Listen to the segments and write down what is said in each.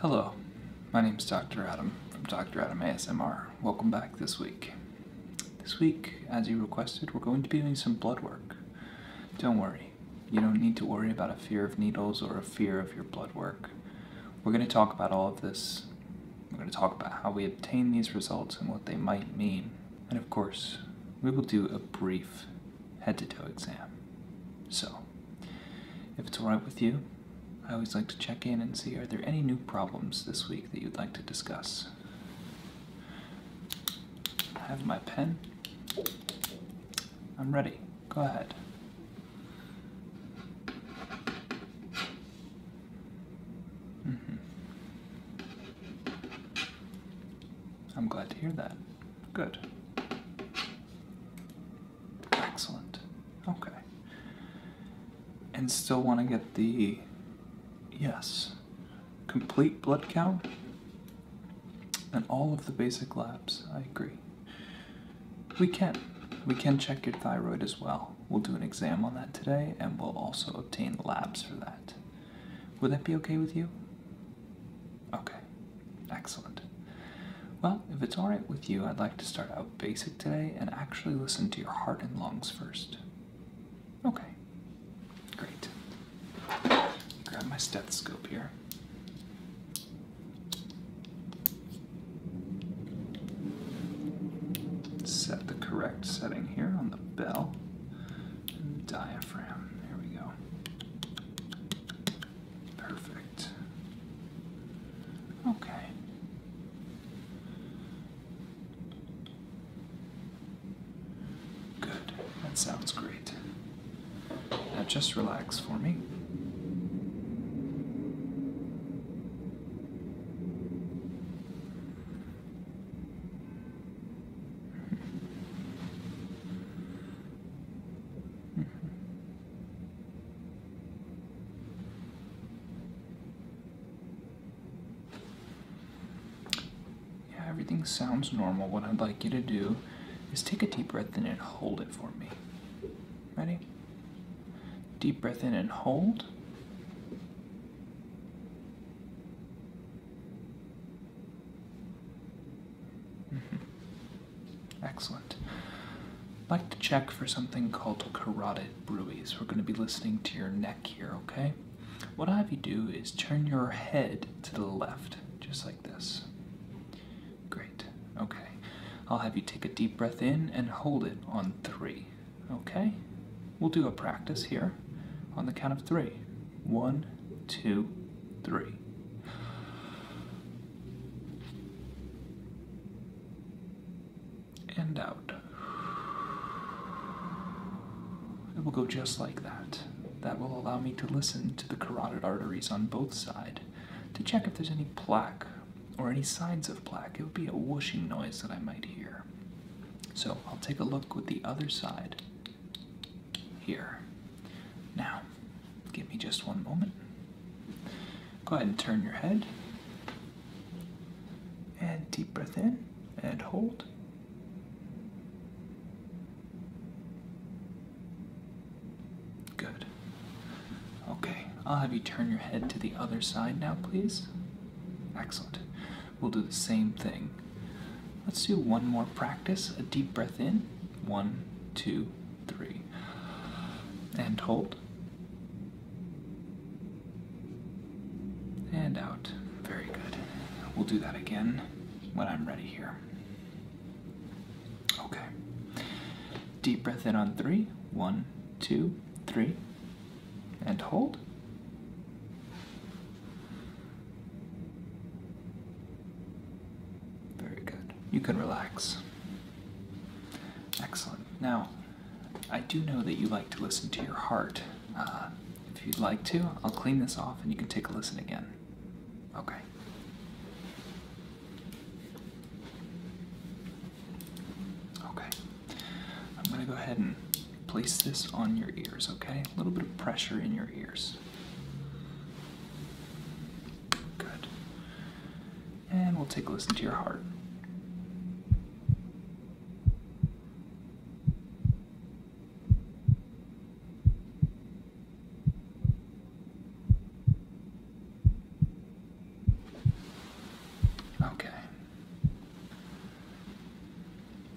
Hello, my name is Dr. Adam from Dr. Adam ASMR. Welcome back this week. This week, as you requested, we're going to be doing some blood work. Don't worry, you don't need to worry about a fear of needles or a fear of your blood work. We're going to talk about all of this. We're going to talk about how we obtain these results and what they might mean. And of course, we will do a brief head to toe exam. So, if it's alright with you, I always like to check in and see are there any new problems this week that you'd like to discuss? I have my pen. I'm ready. Go ahead. Mm-hmm. I'm glad to hear that. Good. Excellent. Okay. And still want to get the. Yes. Complete blood count and all of the basic labs. I agree. We can. We can check your thyroid as well. We'll do an exam on that today and we'll also obtain labs for that. Would that be okay with you? Okay, excellent. Well, if it's alright with you, I'd like to start out basic today and actually listen to your heart and lungs first. Okay, great. Grab my stethoscope here. Set the correct setting here on the bell and diaphragm. There we go. Perfect. Okay. Good. That sounds great. Now just relax for me. Yeah, everything sounds normal. What I'd like you to do is take a deep breath in and hold it for me. Ready? Deep breath in and hold. Mm-hmm. Excellent. I'd like to check for something called carotid bruise. We're going to be listening to your neck here, okay? What I have you do is turn your head to the left, just like this. Great. Okay. I'll have you take a deep breath in and hold it on three. Okay? We'll do a practice here on the count of three. One, two, three and out. It will go just like that. That will allow me to listen to the carotid arteries on both sides to check if there's any plaque or any signs of plaque. It would be a whooshing noise that I might hear. So I'll take a look with the other side here. Now, Give me just one moment. Go ahead and turn your head. And deep breath in and hold. Good. Okay, I'll have you turn your head to the other side now, please. Excellent. We'll do the same thing. Let's do one more practice. A deep breath in. One, two, three. And hold. And out. Very good. We'll do that again when I'm ready here. Okay. Deep breath in on three, one, two, three, And hold. Very good. You can relax. Excellent. Now, I do know that you like to listen to your heart. Uh, if you'd like to, I'll clean this off and you can take a listen again. Okay. Okay. I'm going to go ahead and place this on your ears, okay? A little bit of pressure in your ears. Good. And we'll take a listen to your heart. Okay.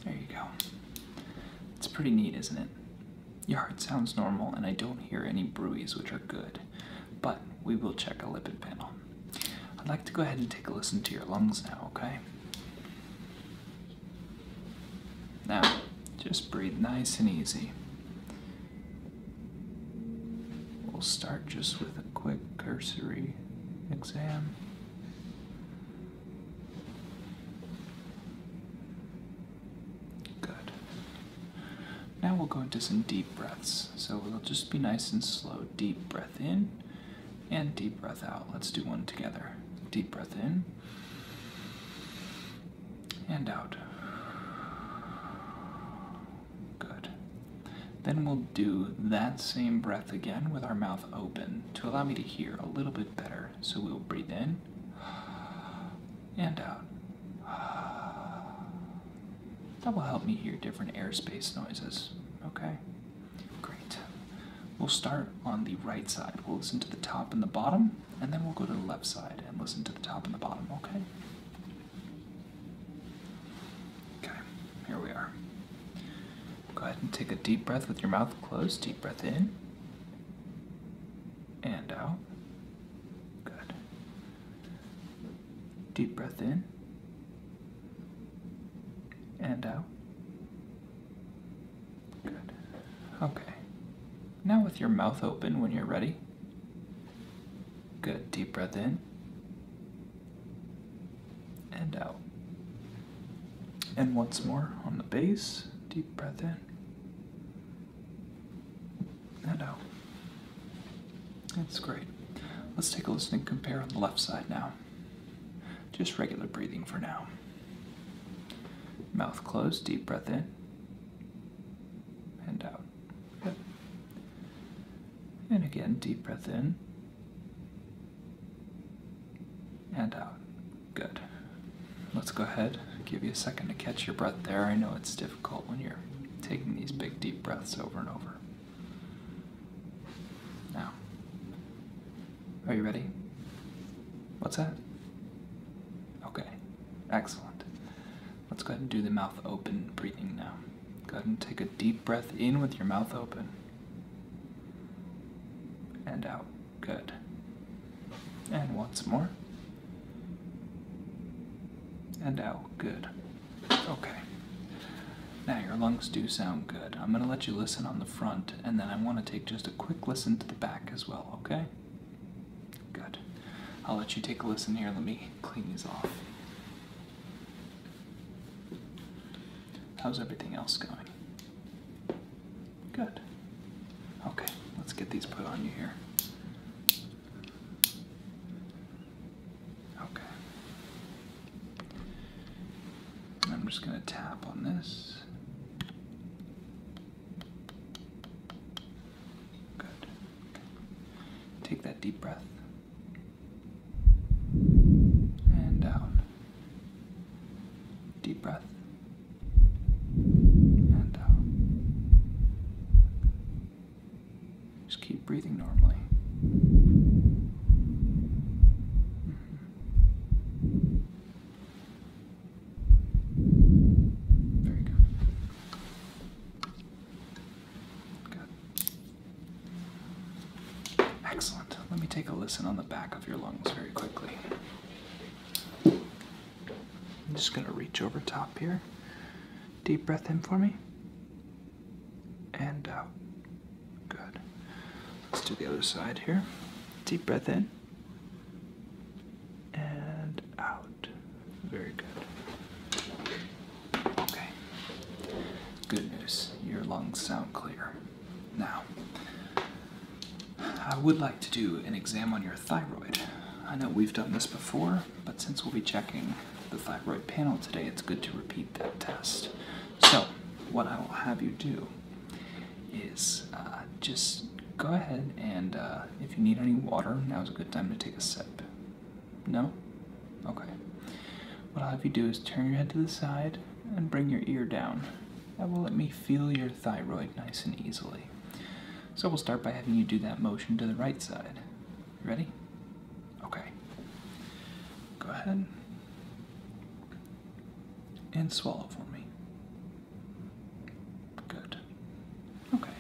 There you go. It's pretty neat, isn't it? Your heart sounds normal, and I don't hear any bruise, which are good, but we will check a lipid panel. I'd like to go ahead and take a listen to your lungs now, okay? Now, just breathe nice and easy. We'll start just with a quick cursory exam. Good. Now we'll go into some deep breaths. So we will just be nice and slow. Deep breath in and deep breath out. Let's do one together. Deep breath in and out. Good. Then we'll do that same breath again with our mouth open to allow me to hear a little bit better. So we'll breathe in and out. That will help me hear different airspace noises. Okay, great. We'll start on the right side. We'll listen to the top and the bottom, and then we'll go to the left side and listen to the top and the bottom, okay? Okay, here we are. Go ahead and take a deep breath with your mouth closed. Deep breath in and out. Good. Deep breath in and out. Good. Okay. Now, with your mouth open when you're ready. Good. Deep breath in and out. And once more on the base. Deep breath in Hello. That's great. Let's take a listening compare on the left side now. Just regular breathing for now. Mouth closed, deep breath in and out. Good. And again, deep breath in and out. Good. Let's go ahead, give you a second to catch your breath there. I know it's difficult when you're taking these big deep breaths over and over. Now, are you ready? What's that? Okay, excellent. Let's go ahead and do the mouth open breathing now. Go ahead and take a deep breath in with your mouth open and out. Good. And once more. And out. Good. Okay. Now your lungs do sound good. I'm going to let you listen on the front, and then I want to take just a quick listen to the back as well, okay? Good. I'll let you take a listen here. Let me clean these off. How's everything else going? Good. Okay, let's get these put on you here. Okay. I'm just going to tap on this. Good. Take that deep breath. And down. Deep breath. And down. Just keep breathing normally. Very mm-hmm. good. Good. Excellent. Let me take a listen on the back of your lungs very quickly. I'm just going to reach over top here. Deep breath in for me. And out. Good. Let's do the other side here. Deep breath in. And out. Very good. Okay. Good news. Your lungs sound clear. Now, I would like to do an exam on your thyroid. I know we've done this before, but since we'll be checking the thyroid panel today, it's good to repeat that test. So, what I will have you do is uh, just go ahead and uh, if you need any water, now's a good time to take a sip. No? Okay. What I'll have you do is turn your head to the side and bring your ear down. That will let me feel your thyroid nice and easily. So we'll start by having you do that motion to the right side. Ready? Okay. Go ahead and swallow for me. Good. Okay.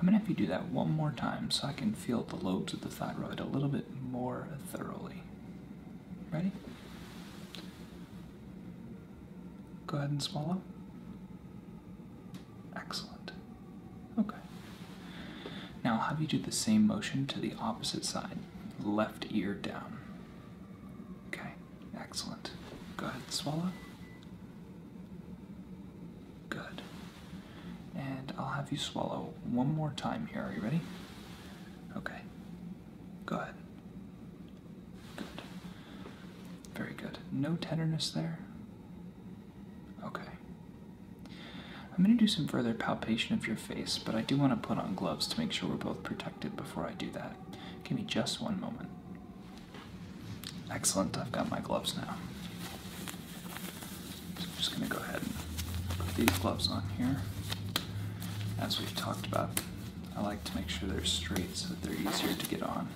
I'm gonna have you do that one more time so I can feel the lobes of the thyroid a little bit more thoroughly. Ready? Go ahead and swallow. Excellent. Okay. Now, I'll have you do the same motion to the opposite side, left ear down. Okay, excellent. Go ahead, swallow. Good. And I'll have you swallow one more time here. Are you ready? Okay. Go ahead. Good. Very good. No tenderness there. Okay. I'm going to do some further palpation of your face, but I do want to put on gloves to make sure we're both protected before I do that. Give me just one moment. Excellent, I've got my gloves now. I'm just going to go ahead and put these gloves on here. As we've talked about, I like to make sure they're straight so that they're easier to get on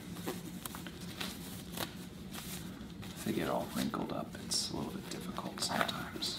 if they get all wrinkled up, it's a little bit difficult sometimes.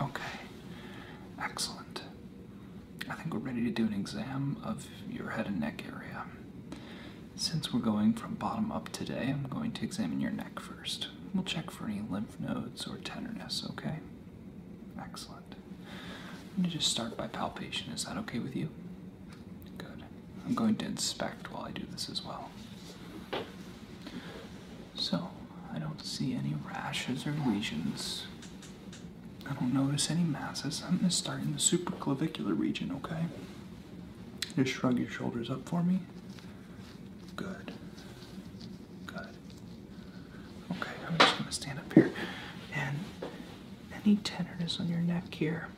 Okay, excellent. I think we're ready to do an exam of your head and neck area. Since we're going from bottom up today, I'm going to examine your neck first. We'll check for any lymph nodes or tenderness, okay? Excellent. I'm going to just start by palpation. Is that okay with you? Good. I'm going to inspect while I do this as well. So, I don't see any rashes or lesions. I don't notice any masses. I'm going to start in the supraclavicular region, okay? Just shrug your shoulders up for me. Good. Good. Okay, I'm just going to stand up here. And any tenderness on your neck here?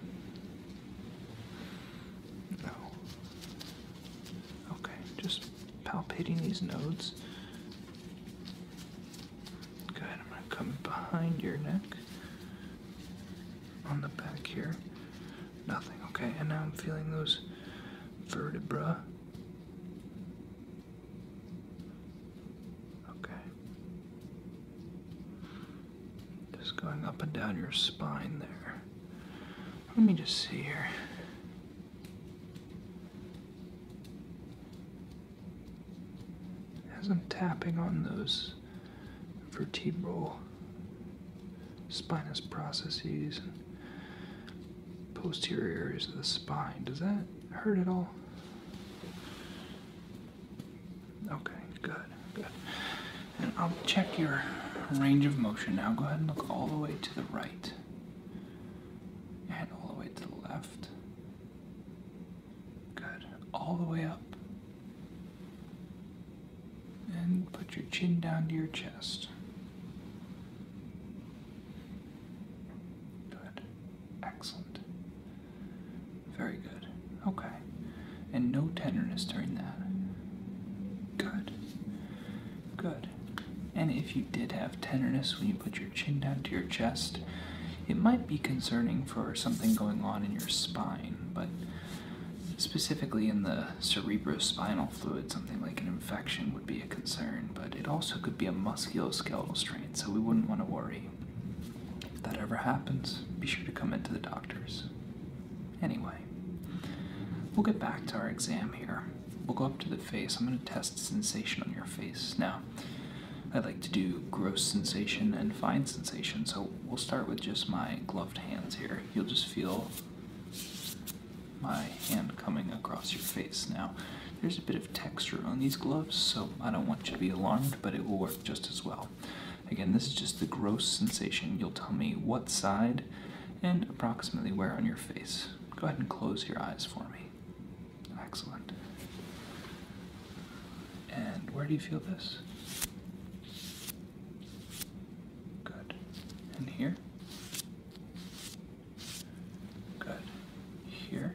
No. Okay, just palpating these nodes. Good, I'm going to come behind your neck on the back here. Nothing, okay, and now I'm feeling those vertebra. Okay. Just going up and down your spine there. Let me just see here. As I'm tapping on those vertebral spinous processes and posterior areas of the spine, does that hurt at all? Okay, good. Good. And I'll check your range of motion now. Go ahead and look all the way to the right. And all the way to the left. Good. All the way up. And put your chin down to your chest. Good. Excellent. Very good. Okay and no tenderness during that. Good. Good. And if you did have tenderness when you put your chin down to your chest, it might be concerning for something going on in your spine, but specifically in the cerebrospinal fluid, something like an infection would be a concern, but it also could be a musculoskeletal strain, so we wouldn't want to worry. If that ever happens, be sure to come into the doctor's. Anyway, we'll get back to our exam here. We'll go up to the face. I'm going to test sensation on your face. Now, I like to do gross sensation and fine sensation, so we'll start with just my gloved hands here. You'll just feel my hand coming across your face. Now, there's a bit of texture on these gloves, so I don't want you to be alarmed, but it will work just as well. Again, this is just the gross sensation. You'll tell me what side and approximately where on your face. Go ahead and close your eyes for me. Excellent. And where do you feel this? Good. And here? Good. Here?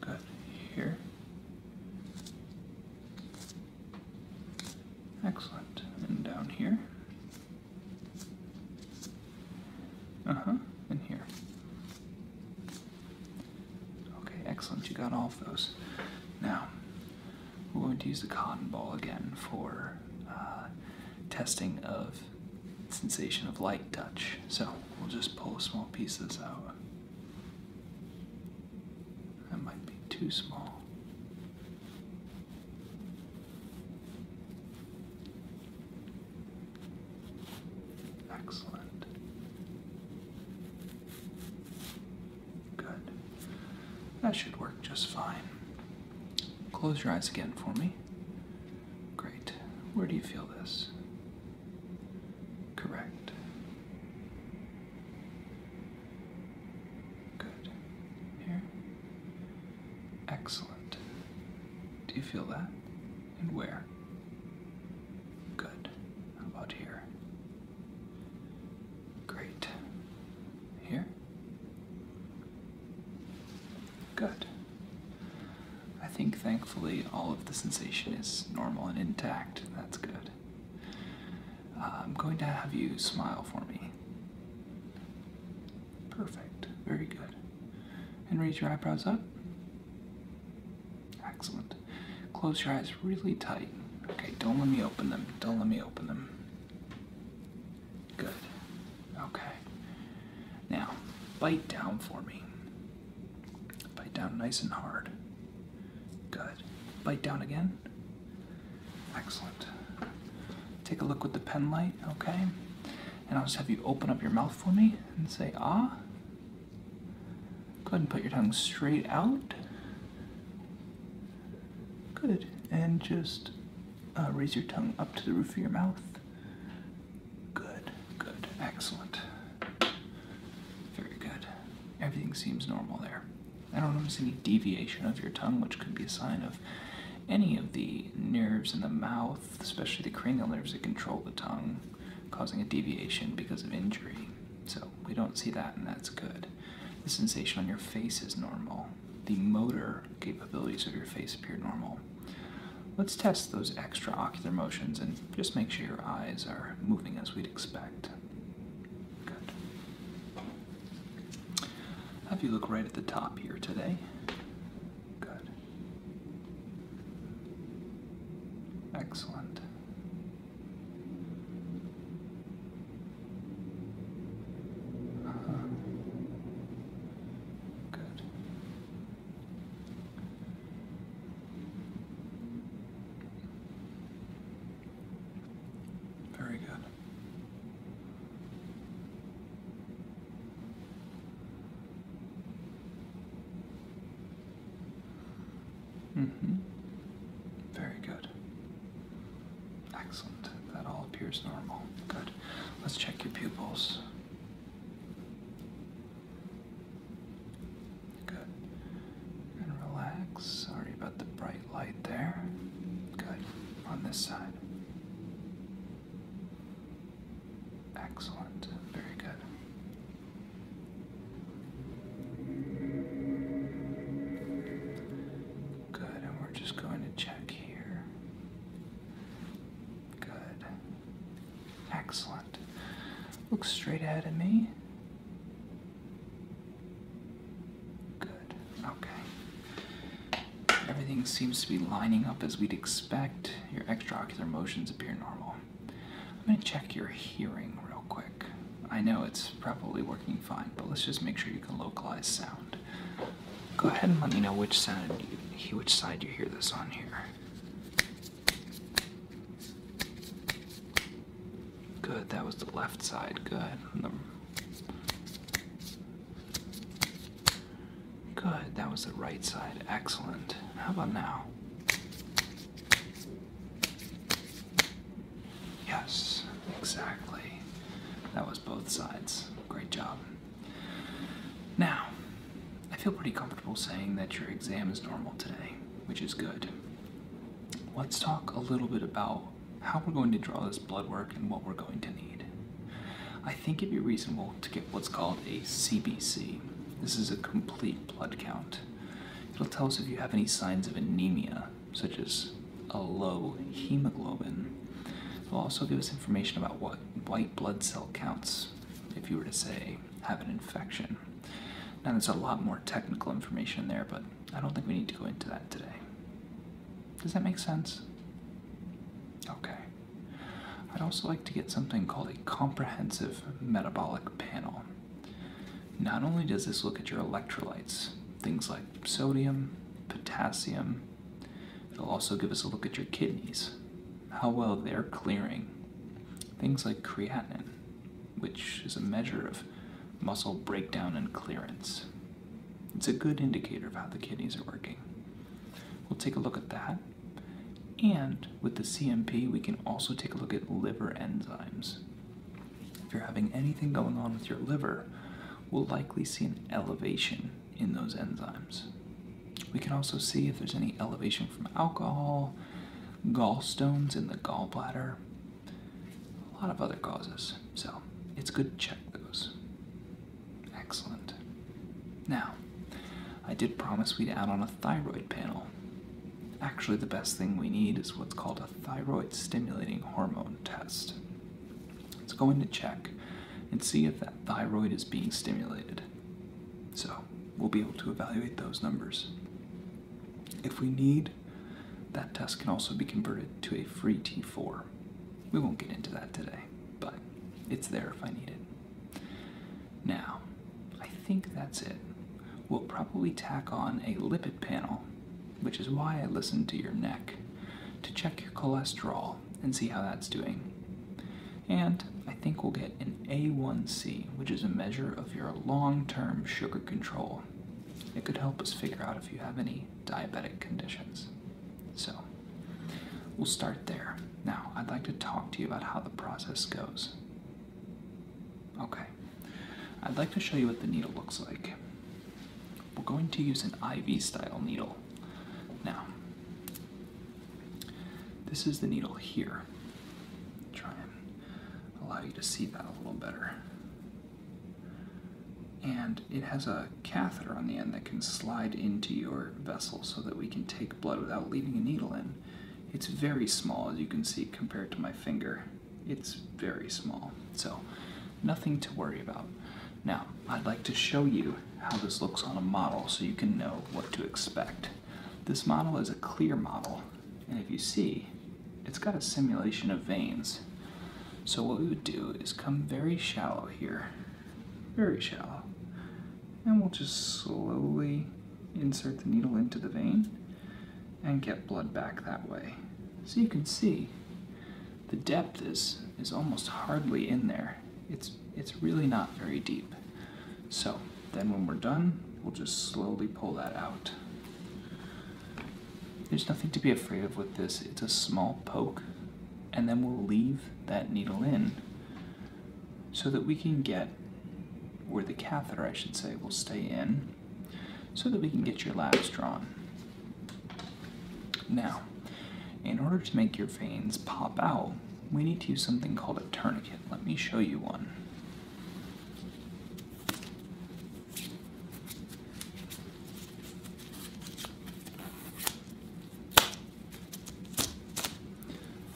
Good. Here? Excellent. And down here. Uh-huh. And here. Okay, excellent. You got all of those. Now, we're going to use the cotton ball again for uh, testing of sensation of light touch. So we'll just pull small pieces out. That might be too small. Excellent. Good. That should work just fine. Close your eyes again for me. Great. Where do you feel this? Correct. Good. Here. Excellent. Do you feel that? And where? Good. about here? Great. Here? Good. I think thankfully all of the sensation is normal and intact that's good. Uh, I'm going to have you smile for me. Perfect. Very good. And raise your eyebrows up. Excellent. Close your eyes really tight. Okay, don't let me open them. Don't let me open them. Good. Okay. Now, bite down for me. Bite down nice and hard. Good. Bite down again. Excellent. Take a look with the pen light, okay? And I'll just have you open up your mouth for me and say ah. Go ahead and put your tongue straight out. Good. And just uh, raise your tongue up to the roof of your mouth. Good, good, excellent. Very good. Everything seems normal there. I don't notice any deviation of your tongue, which could be a sign of any of the nerves in the mouth, especially the cranial nerves that control the tongue, causing a deviation because of injury. So we don't see that, and that's good. The sensation on your face is normal. The motor capabilities of your face appear normal. Let's test those extra ocular motions and just make sure your eyes are moving as we'd expect. Have you look right at the top here today. Good. Excellent. Uh-huh. Good. Very good. Mm-hmm. Very good. Excellent. That all appears normal. Good. Let's check your pupils. Good. And relax. Sorry about the bright light there. Good. On this side. Excellent. Very good. Good, and we're just going to check here. Good. Excellent around. Look straight ahead at me. Good. Okay. Everything seems to be lining up as we'd expect. Your extraocular motions appear normal. I'm going to check your hearing real quick. I know it's probably working fine, but let's just make sure you can localize sound. Go ahead and let me know which side you hear this on here. Good, that was the left side. Good. Good, that was the right side. Excellent. How about now? Yes, exactly. That was both sides. Great job. Now, I feel pretty comfortable saying that your exam is normal today, which is good let's talk a little bit about how we're going to draw this blood work and what we're going to need. I think it'd be reasonable to get what's called a CBC. This is a complete blood count. It'll tell us if you have any signs of anemia, such as a low hemoglobin. It'll also give us information about what white blood cell counts. If you were to say have an infection. Now, there's a lot more technical information there, but I don't think we need to go into that today. Does that make sense? Okay. I'd also like to get something called a comprehensive metabolic panel. Not only does this look at your electrolytes, things like sodium, potassium, it'll also give us a look at your kidneys, how well they're clearing, things like creatinine, which is a measure of muscle breakdown and clearance. It's a good indicator of how the kidneys are working. We'll take a look at that. And with the CMP, we can also take a look at liver enzymes. If you're having anything going on with your liver, we'll likely see an elevation in those enzymes. We can also see if there's any elevation from alcohol, gallstones in the gallbladder, a lot of other causes. So it's good to check those. Excellent. Now, I did promise we'd add on a thyroid panel. Actually, the best thing we need is what's called a thyroid stimulating hormone test. It's going to check and see if that thyroid is being stimulated. So, we'll be able to evaluate those numbers. If we need, that test can also be converted to a free T4. We won't get into that today, but it's there if I need it. Now, I think that's it. We'll probably tack on a lipid panel, which is why I listened to your neck, to check your cholesterol and see how that's doing. And I think we'll get an A1C, which is a measure of your long term sugar control. It could help us figure out if you have any diabetic conditions. So, we'll start there. Now, I'd like to talk to you about how the process goes. Okay, I'd like to show you what the needle looks like. We're going to use an IV style needle. Now, this is the needle here. Try allow you to see that a little better. And it has a catheter on the end that can slide into your vessel so that we can take blood without leaving a needle in. It's very small, as you can see, compared to my finger. It's very small, so nothing to worry about. Now, I'd like to show you how this looks on a model so you can know what to expect. This model is a clear model, and if you see, it's got a simulation of veins. So what we would do is come very shallow here, very shallow, and we'll just slowly insert the needle into the vein and get blood back that way. So you can see the depth is, is almost hardly in there. It's, it's really not very deep. So then when we're done, we'll just slowly pull that out. There's nothing to be afraid of with this. It's a small poke, and then we'll leave that needle in so that we can get where the catheter, I should say, will stay in so that we can get your labs drawn. Now, in order to make your veins pop out, we need to use something called a tourniquet. Let me show you one.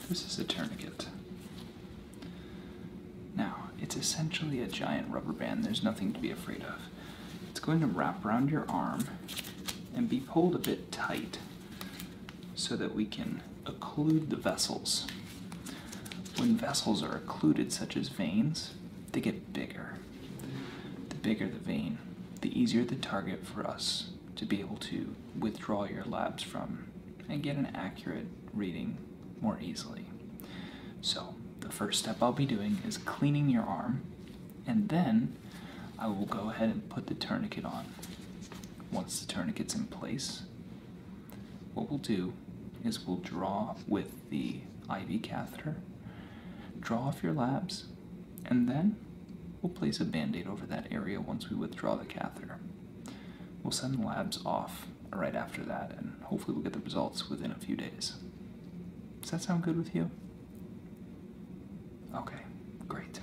This is a tourniquet. Now, it's essentially a giant rubber band, there's nothing to be afraid of. It's going to wrap around your arm and be pulled a bit tight so that we can occlude the vessels. When vessels are occluded, such as veins, they get bigger. The bigger the vein, the easier the target for us to be able to withdraw your labs from and get an accurate reading more easily. So, the first step I'll be doing is cleaning your arm, and then I will go ahead and put the tourniquet on. Once the tourniquet's in place, what we'll do is we'll draw with the IV catheter, draw off your labs, and then we'll place a band-aid over that area once we withdraw the catheter. We'll send the labs off right after that, and hopefully we'll get the results within a few days. Does that sound good with you? Okay, great.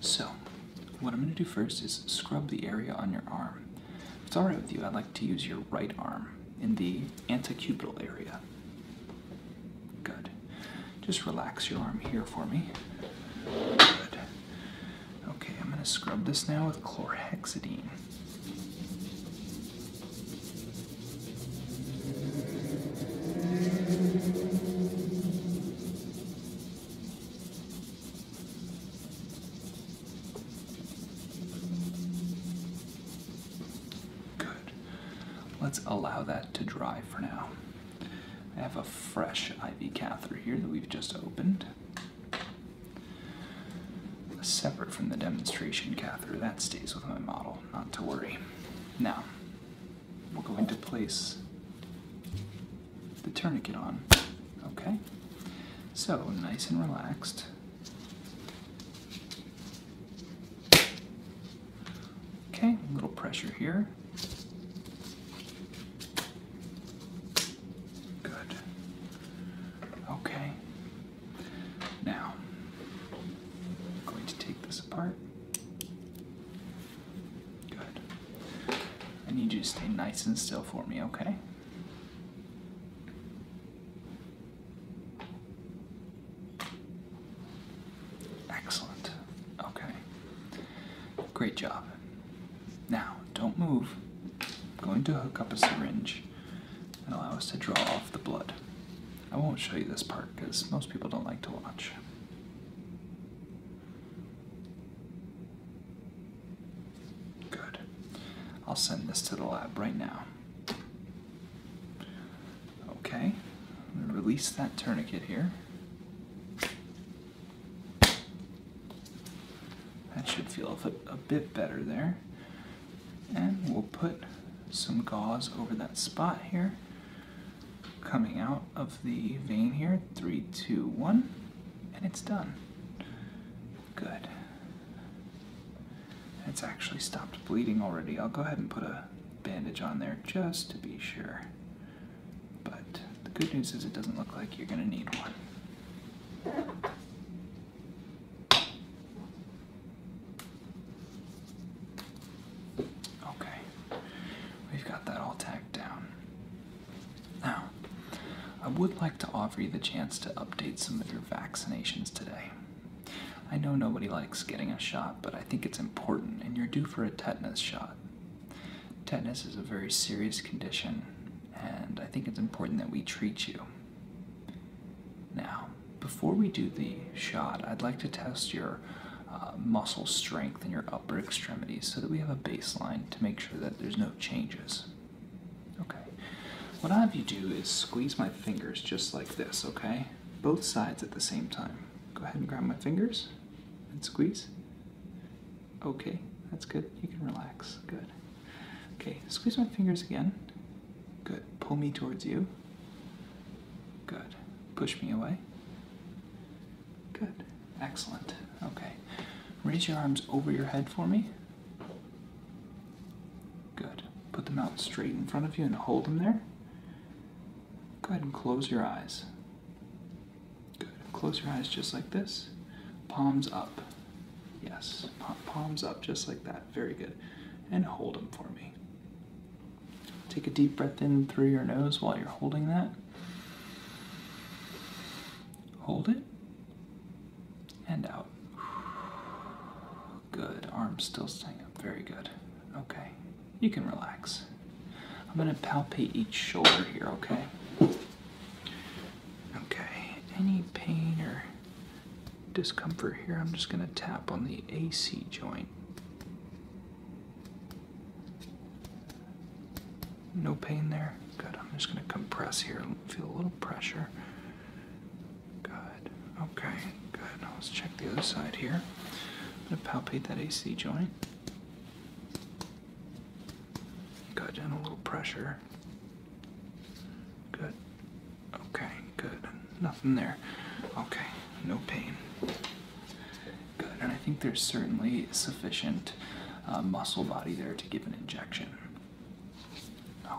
So, what I'm going to do first is scrub the area on your arm. it's alright with you, I'd like to use your right arm in the antecubital area. Good. Just relax your arm here for me. Good. Okay, I'm going to scrub this now with chlorhexidine. Good. Let's allow that to dry for now. I have a fresh IV catheter here that we've just opened. Separate from the demonstration catheter, that stays with my model, not to worry. Now, we're going to place the tourniquet on. Okay? So, nice and relaxed. Okay, a little pressure here. Good. Okay. Now, I'm going to take this apart. Good. I need you to stay nice and still for me, okay? Excellent. Okay. Great job. Now, don't move. I'm going to hook up a syringe and allow us to draw off the blood. I won't show you this part because most people don't like to watch. Good. I'll send this to the lab right now. Okay, release that tourniquet here. That should feel a bit better there. And we'll put some gauze over that spot here, coming out of the vein here. Three, two, one and it's done. Good. It's actually stopped bleeding already. I'll go ahead and put a bandage on there just to be sure. But the good news is it doesn't look like you're going to need one. Okay, we've got that all tacked down. Now, I would like to offer you the chance to update some of your vaccinations today. I know nobody likes getting a shot, but I think it's important, and you're due for a tetanus shot. Tetanus is a very serious condition, and I think it's important that we treat you. Now, before we do the shot, I'd like to test your uh, muscle strength in your upper extremities so that we have a baseline to make sure that there's no changes. Okay. What I have you do is squeeze my fingers just like this, okay? Both sides at the same time. Go ahead and grab my fingers and squeeze. Okay, that's good. You can relax. Good. Okay, squeeze my fingers again. Good. Pull me towards you. Good. Push me away. Good. Excellent. Okay. Raise your arms over your head for me. Good. Put them out straight in front of you and hold them there. Go ahead and close your eyes. Good. Close your eyes just like this. Palms up. Yes. Palms up just like that. Very good. And hold them for me. Take a deep breath in through your nose while you're holding that. Hold it. And out. Good. Arms still staying up. Very good. Okay. You can relax. I'm going to palpate each shoulder here, okay? Okay. Any pain or discomfort here, I'm just going to tap on the AC joint. No pain there? Good. I'm just going to compress here. Feel a little pressure. Good. Okay, good. Now let's check the other side here. I'm going to palpate that AC joint. Good, and a little pressure. Good. Okay, good. Nothing there. Okay, no pain. Good, and I think there's certainly sufficient uh, muscle body there to give an injection.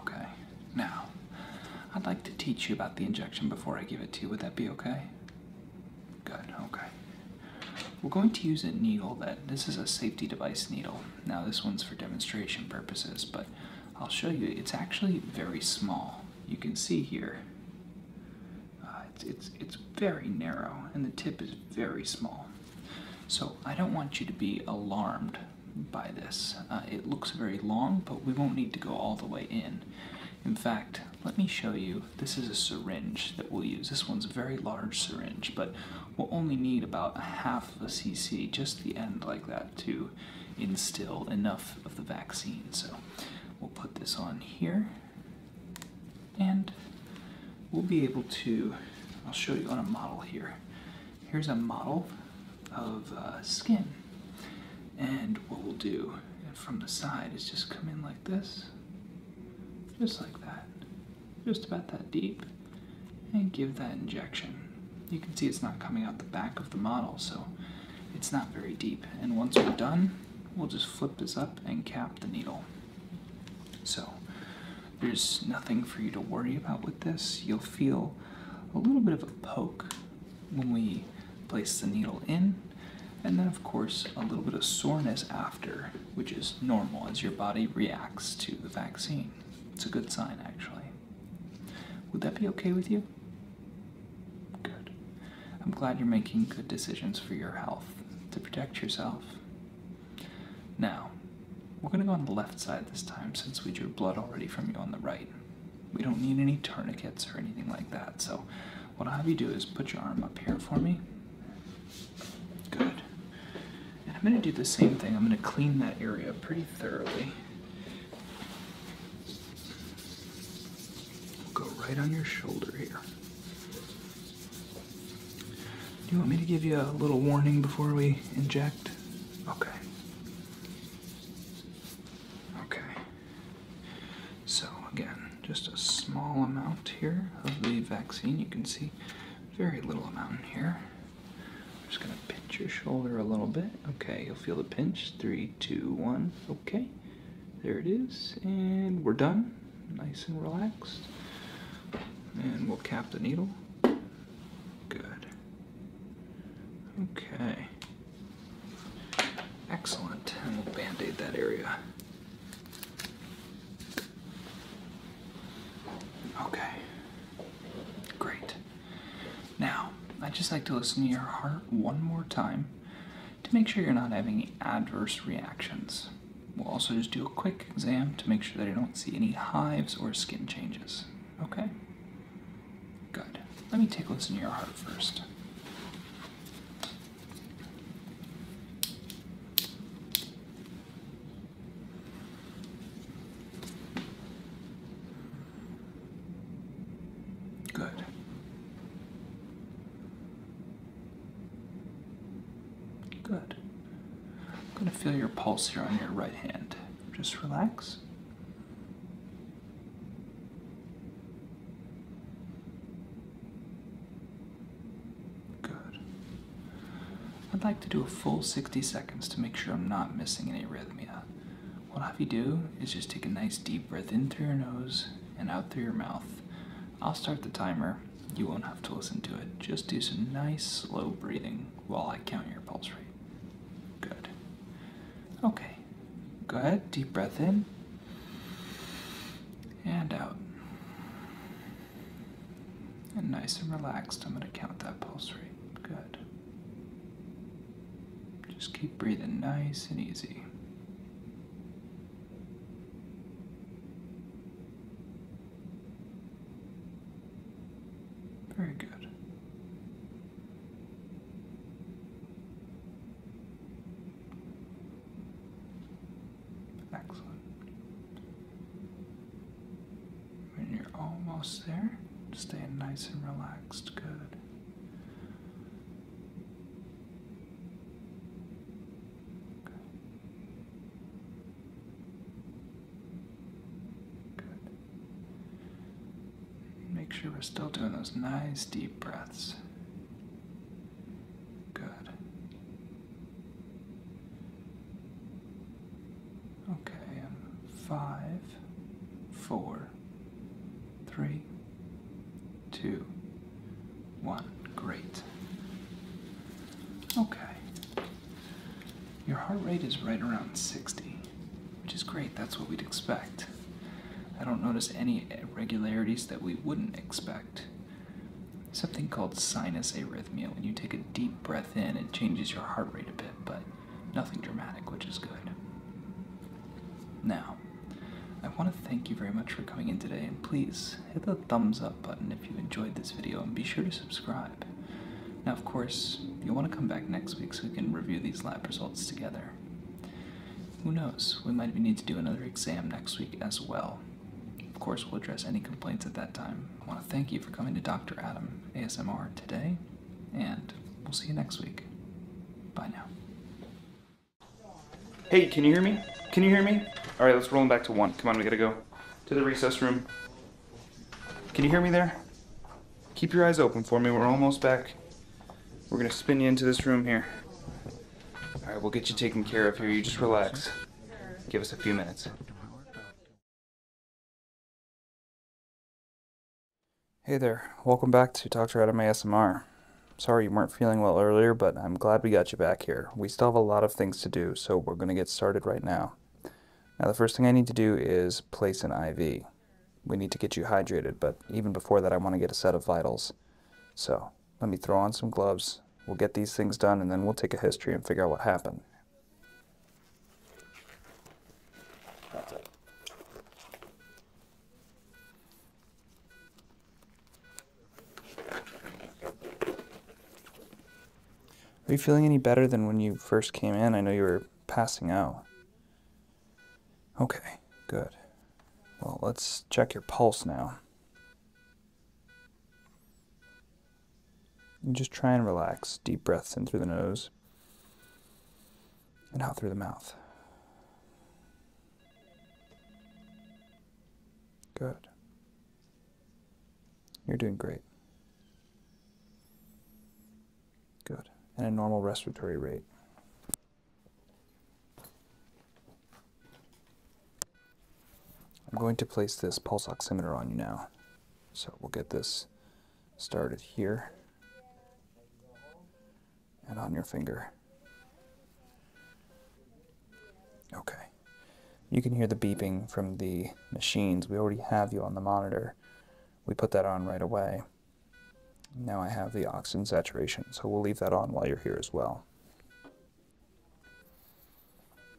Okay, now I'd like to teach you about the injection before I give it to you. Would that be okay? Good, okay. We're going to use a needle that this is a safety device needle. Now, this one's for demonstration purposes, but I'll show you it's actually very small. You can see here. Uh, it's, it's very narrow and the tip is very small. So I don't want you to be alarmed by this. Uh, it looks very long, but we won't need to go all the way in. In fact, let me show you. This is a syringe that we'll use. This one's a very large syringe, but we'll only need about a half of a cc, just the end like that, to instill enough of the vaccine. So we'll put this on here and we'll be able to, I'll show you on a model here. Here's a model of uh, skin. And what we'll do from the side is just come in like this, just like that, just about that deep, and give that injection. You can see it's not coming out the back of the model, so it's not very deep. And once we're done, we'll just flip this up and cap the needle. So there's nothing for you to worry about with this. You'll feel a little bit of a poke when we place the needle in, and then, of course, a little bit of soreness after, which is normal as your body reacts to the vaccine. It's a good sign, actually. Would that be okay with you? Good. I'm glad you're making good decisions for your health to protect yourself now, we're going to go on the left side this time since we drew blood already from you on the right. We don't need any tourniquets or anything like that, so what I'll have you do is put your arm up here for me. Good. And I'm going to do the same thing. I'm going to clean that area pretty thoroughly. go right on your shoulder here. Do you want me to give you a little warning before we inject? Okay. Okay. So, again, just a small amount here of the vaccine. You can see very little amount in here. I'm just going to pinch your shoulder a little bit. Okay, you'll feel the pinch. Three, two, one. Okay. There it is. And we're done nice and relaxed. And we'll cap the needle. Good. Okay. Excellent. And we'll band-aid that area. Okay. Great. Now, I'd just like to listen to your heart one more time to make sure you're not having any adverse reactions. We'll also just do a quick exam to make sure that I don't see any hives or skin changes. Okay? Good. Let me take a look to your heart first. Good. Good. I'm going to feel your pulse here on your right hand. Just relax. Good. I'd like to do a full 60 seconds to make sure I'm not missing any arrhythmia. What i have you do is just take a nice deep breath in through your nose and out through your mouth. I'll start the timer you won't have to listen to it. Just do some nice, slow breathing while I count your pulse rate. Good. Okay. Go ahead, deep breath in and out. And nice and relaxed, I'm going to count that pulse rate. Good. Just keep breathing nice and easy. Very good. Excellent. When you're almost there, staying nice and relaxed. Good. Good. Make sure we're still doing those nice deep breaths. Good. Okay, five, four, three, two, one. Great. Okay. Your heart rate is right around 60, which is great. That's what we'd expect. I don't notice any irregularities that we wouldn't expect. Something called sinus arrhythmia. When you take a deep breath in, it changes your heart rate a bit, but nothing dramatic, which is good. Now, I want to thank you very much for coming in today, and please hit the thumbs up button if you enjoyed this video and be sure to subscribe. Now of course, you'll want to come back next week so we can review these lab results together. Who knows, we might need to do another exam next week as well. Of course, we'll address any complaints at that time. I want to thank you for coming to Dr. Adam ASMR today, and we'll see you next week. Bye now. Hey, can you hear me? Can you hear me? All right, let's roll them back to one. Come on, we gotta go to the recess room. Can you hear me there? Keep your eyes open for me. We're almost back. We're going to spin you into this room here. All right, we'll get you taken care of here. You just relax. Give us a few minutes. Hey there, welcome back to Dr. Adam ASMR. Sorry you weren't feeling well earlier, but I'm glad we got you back here. We still have a lot of things to do, so we're going to get started right now. Now the first thing I need to do is place an IV. We need to get you hydrated, but even before that I want to get a set of vitals. So let me throw on some gloves, we'll get these things done, and then we'll take a history and figure out what happened. Are you feeling any better than when you first came in? I know you were passing out. Okay, good. Well, let's check your pulse now. just try and relax. Deep breaths in through the nose and out through the mouth. Good. You're doing great. Good. And a normal respiratory rate. I'm going to place this pulse oximeter on you now. So we'll get this started here and on your finger. Okay. You can hear the beeping from the machines. We already have you on the monitor. We put that on right away. Now I have the oxygen saturation, so we'll leave that on while you're here as well.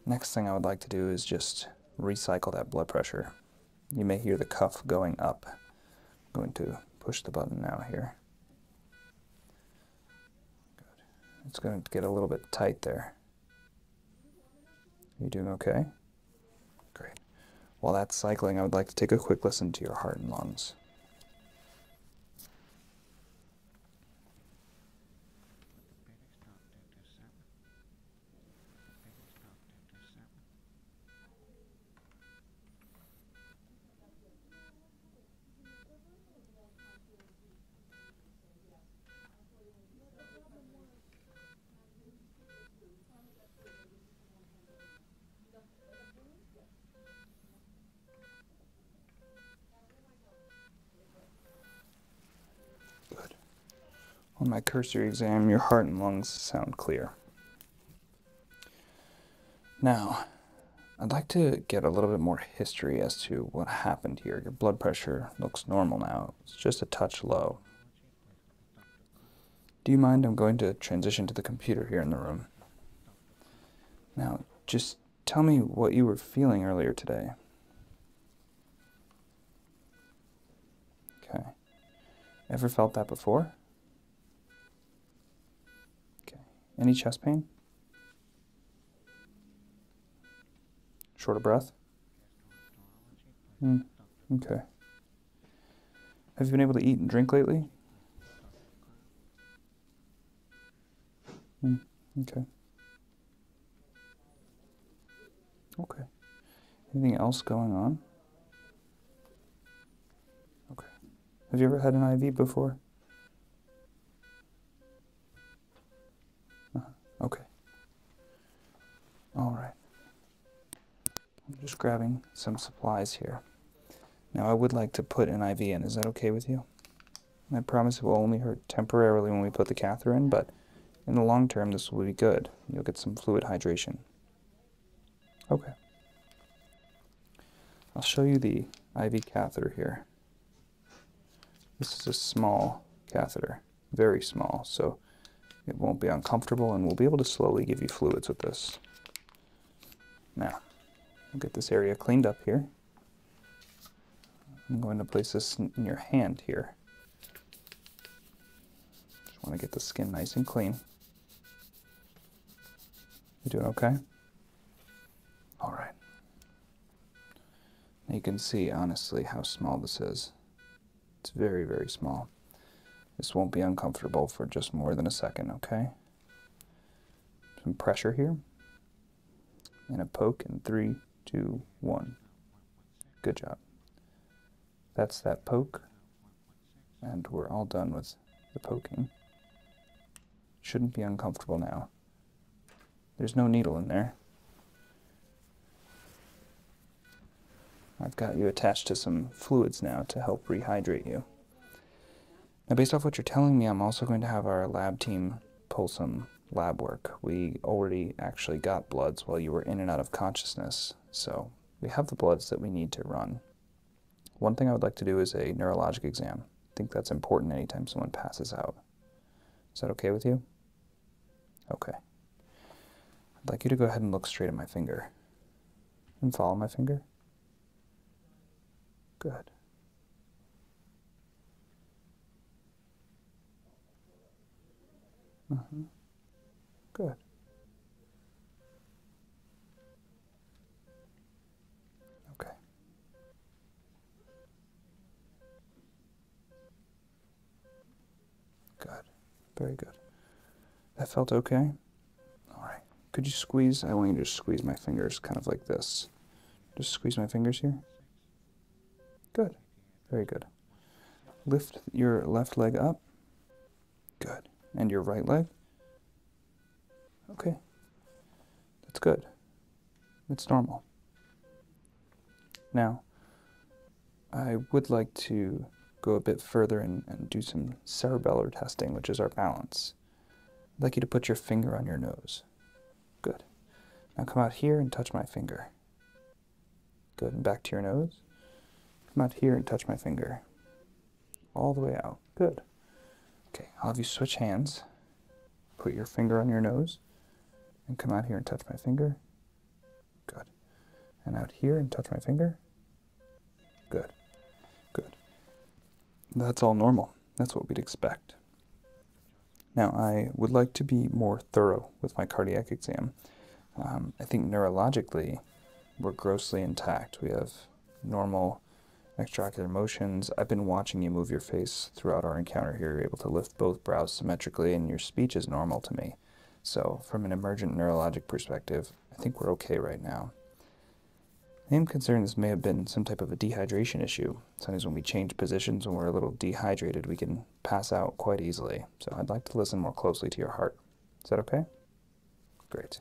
Next thing I would like to do is just recycle that blood pressure. You may hear the cuff going up. I'm going to push the button now here. It's going to get a little bit tight there. Are You doing okay? Great. While that's cycling, I would like to take a quick listen to your heart and lungs. Good. On my cursory exam, your heart and lungs sound clear. Now, I'd like to get a little bit more history as to what happened here. Your blood pressure looks normal now. It's just a touch low. Do you mind? I'm going to transition to the computer here in the room. Now, just tell me what you were feeling earlier today. Okay. Ever felt that before? Okay. Any chest pain? Short of breath? Mm, okay. Have you been able to eat and drink lately? Mm, okay. Okay. Anything else going on? Okay. Have you ever had an IV before? Uh-huh. Okay. All right. I'm just grabbing some supplies here. Now I would like to put an IV in. Is that okay with you? I promise it will only hurt temporarily when we put the catheter in, but in the long term this will be good. You'll get some fluid hydration. Okay. I'll show you the IV catheter here. This is a small catheter, very small, so it won't be uncomfortable and we'll be able to slowly give you fluids with this. Now, we'll get this area cleaned up here. I'm going to place this in your hand here. Just want to get the skin nice and clean. You doing okay? All right. You can see, honestly, how small this is. It's very, very small. This won't be uncomfortable for just more than a second, okay? Some pressure here. And a poke in three, two, one. Good job. That's that poke. And we're all done with the poking. Shouldn't be uncomfortable now. There's no needle in there. I've got you attached to some fluids now to help rehydrate you. Now, based off what you're telling me, I'm also going to have our lab team pull some lab work. We already actually got bloods while you were in and out of consciousness, so we have the bloods that we need to run. One thing I would like to do is a neurologic exam. I think that's important anytime someone passes out. Is that okay with you? Okay. I'd like you to go ahead and look straight at my finger. And follow my finger. Good. Uh mm-hmm. -huh. Good. Okay. Good. Very good. That felt okay? Alright. Could you squeeze? I want you to squeeze my fingers kind of like this. Just squeeze my fingers here. Good. Very good. Lift your left leg up. Good. And your right leg. Okay. That's good. It's normal. Now, I would like to go a bit further and, do some cerebellar testing, which is our balance. I'd like you to put your finger on your nose. Good. Now come out here and touch my finger. Good, back to your nose. Come out here and touch my finger. All the way out. Good. Okay, I'll have you switch hands. Put your finger on your nose, and come out here and touch my finger. Good. And out here and touch my finger. Good. Good. That's all normal. That's what we'd expect. Now, I would like to be more thorough with my cardiac exam. Um, I think neurologically, we're grossly intact. We have normal extracurricular motions. I've been watching you move your face throughout our encounter here. You're able to lift both brows symmetrically, and your speech is normal to me. So, from an emergent neurologic perspective, I think we're okay right now. I am concerned this may have been some type of a dehydration issue. Sometimes when we change positions, when we're a little dehydrated, we can pass out quite easily. So I'd like to listen more closely to your heart. Is that okay? Great.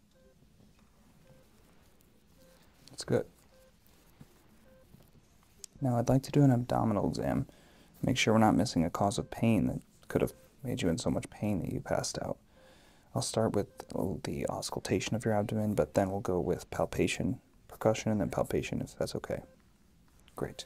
That's good. Now I'd like to do an abdominal exam. Make sure we're not missing a cause of pain that could have made you in so much pain that you passed out. I'll start with the auscultation of your abdomen, but then we'll go with palpation, percussion, and then palpation if that's okay. Great.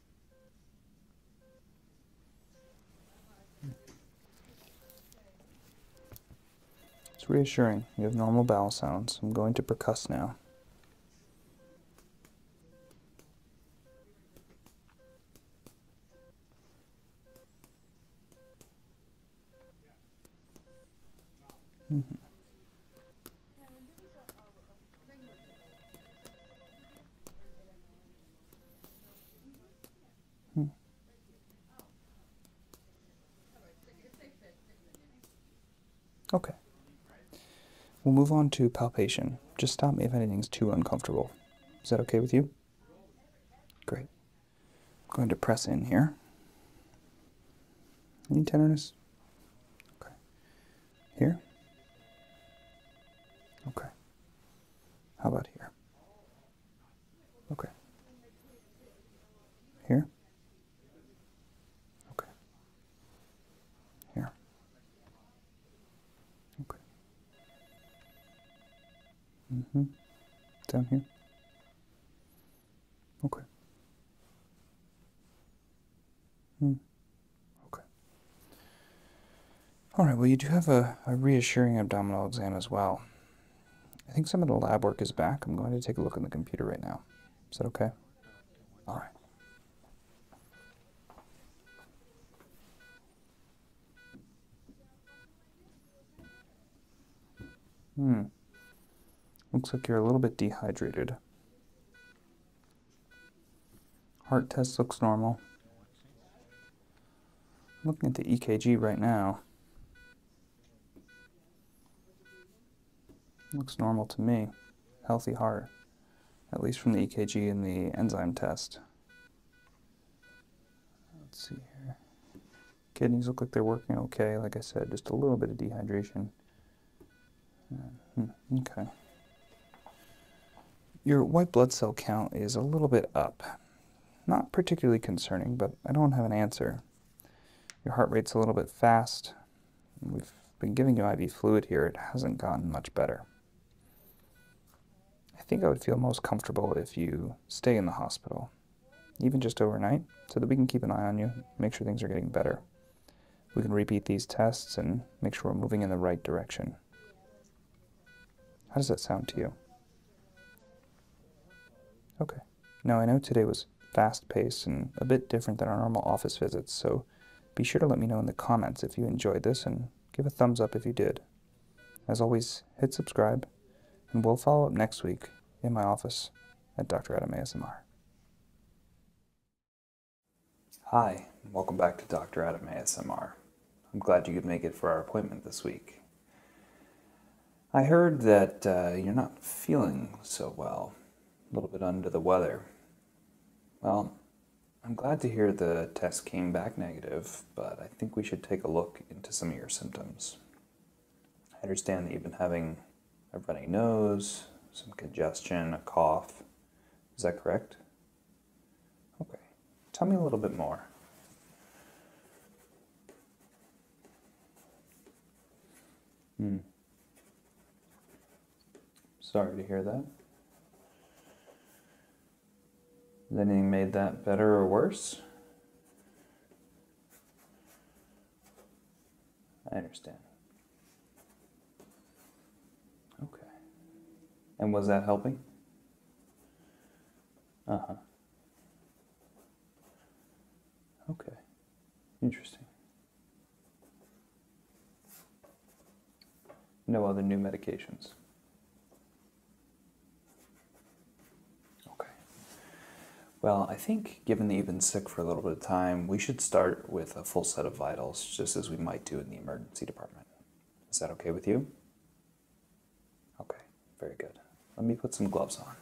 It's reassuring. You have normal bowel sounds. I'm going to percuss now. Mm-hmm. Hmm. Okay. We'll move on to palpation. Just stop me if anything's too uncomfortable. Is that okay with you? Great. I'm going to press in here. Any tenderness? Okay. Here? Okay. How about here? Okay. Here? Okay. Here. Okay. hmm Down here? Okay. Hmm. Okay. All right, well, you do have a, reassuring abdominal exam as well. I think some of the lab work is back. I'm going to take a look on the computer right now. Is that okay? All right. Hmm. Looks like you're a little bit dehydrated. Heart test looks normal. looking at the EKG right now. Looks normal to me. Healthy heart, at least from the EKG and the enzyme test. Let's see here. Kidneys look like they're working okay. Like I said, just a little bit of dehydration. Uh, hmm, okay. Your white blood cell count is a little bit up. Not particularly concerning, but I don't have an answer. Your heart rate's a little bit fast. We've been giving you IV fluid here. It hasn't gotten much better. I think I would feel most comfortable if you stay in the hospital, even just overnight, so that we can keep an eye on you, make sure things are getting better. We can repeat these tests and make sure we're moving in the right direction. How does that sound to you? Okay. Now, I know today was fast paced and a bit different than our normal office visits, so be sure to let me know in the comments if you enjoyed this and give a thumbs up if you did. As always, hit subscribe, and we'll follow up next week in my office at Dr. Adam ASMR. Hi, welcome back to Dr. Adam ASMR. I'm glad you could make it for our appointment this week. I heard that uh, you're not feeling so well, a little bit under the weather. Well, I'm glad to hear the test came back negative, but I think we should take a look into some of your symptoms. I understand that you've been having a runny nose, some congestion, a cough. Is that correct? Okay, tell me a little bit more. Hmm. Sorry to hear that. Has anything made that better or worse? I understand. Okay. And was that helping? Uh huh. Okay. Interesting. No other new medications. Okay. Well, I think given that you've been sick for a little bit of time, we should start with a full set of vitals, just as we might do in the emergency department. Is that okay with you? Okay, very good. Let me put some gloves on.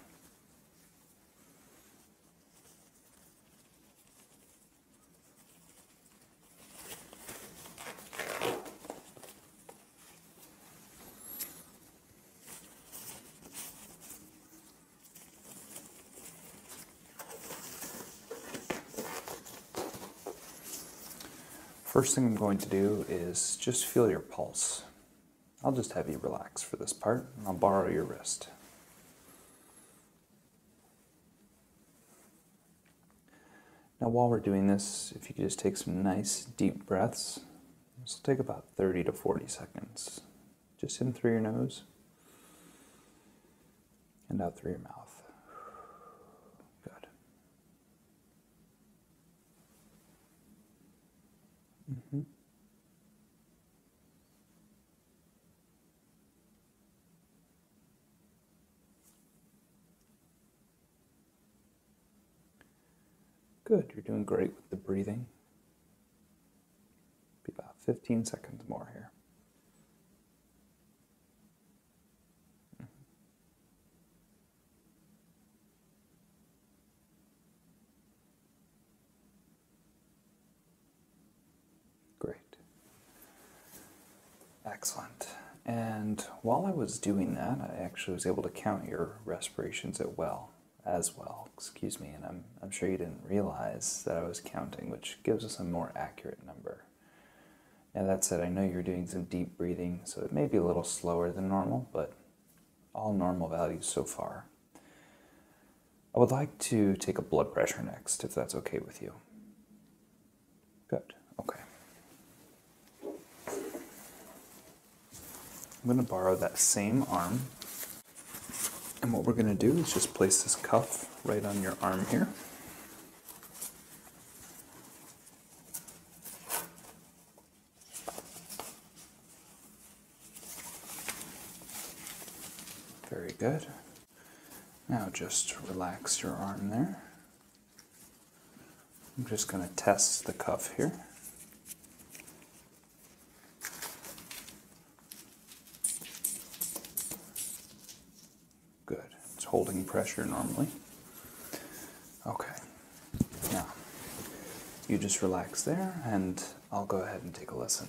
First thing I'm going to do is just feel your pulse. I'll just have you relax for this part. I'll borrow your wrist. Now while we're doing this, if you could just take some nice deep breaths. This will take about 30 to 40 seconds. Just in through your nose and out through your mouth. Good. Mm-hmm. Good, you're doing great with the breathing. Be about 15 seconds more here. Great. Excellent. And while I was doing that, I actually was able to count your respirations at well, as well, excuse me, and I'm, I'm sure you didn't realize that I was counting, which gives us a more accurate number. Now that said, I know you're doing some deep breathing, so it may be a little slower than normal, but all normal values so far. I would like to take a blood pressure next, if that's okay with you. Good, okay. I'm gonna borrow that same arm. And what we're gonna do is just place this cuff right on your arm here. Very good. Now just relax your arm there. I'm just going to test the cuff here. Good. It's holding pressure normally. Okay. Now, you just relax there, and I'll go ahead and take a listen.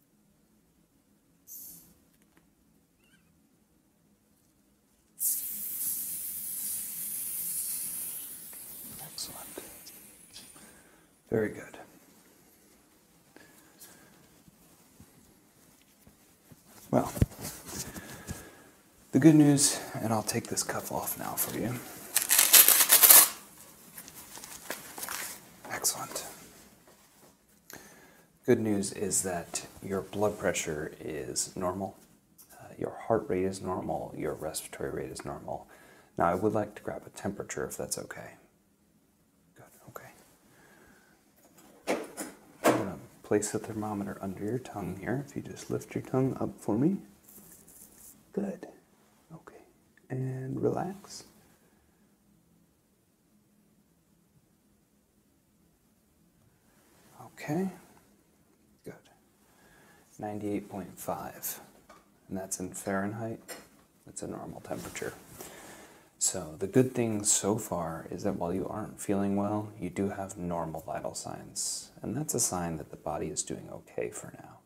Excellent. Very good. Well, the good news, and I'll take this cuff off now for you. Excellent. Good news is that your blood pressure is normal, uh, your heart rate is normal, your respiratory rate is normal. Now, I would like to grab a temperature if that's okay. Good, okay. I'm going to place the thermometer under your tongue here. If you just lift your tongue up for me. Good. Okay. And relax. Okay, good. 98.5, and that's in Fahrenheit. That's a normal temperature. So, the good thing so far is that while you aren't feeling well, you do have normal vital signs, and that's a sign that the body is doing okay for now.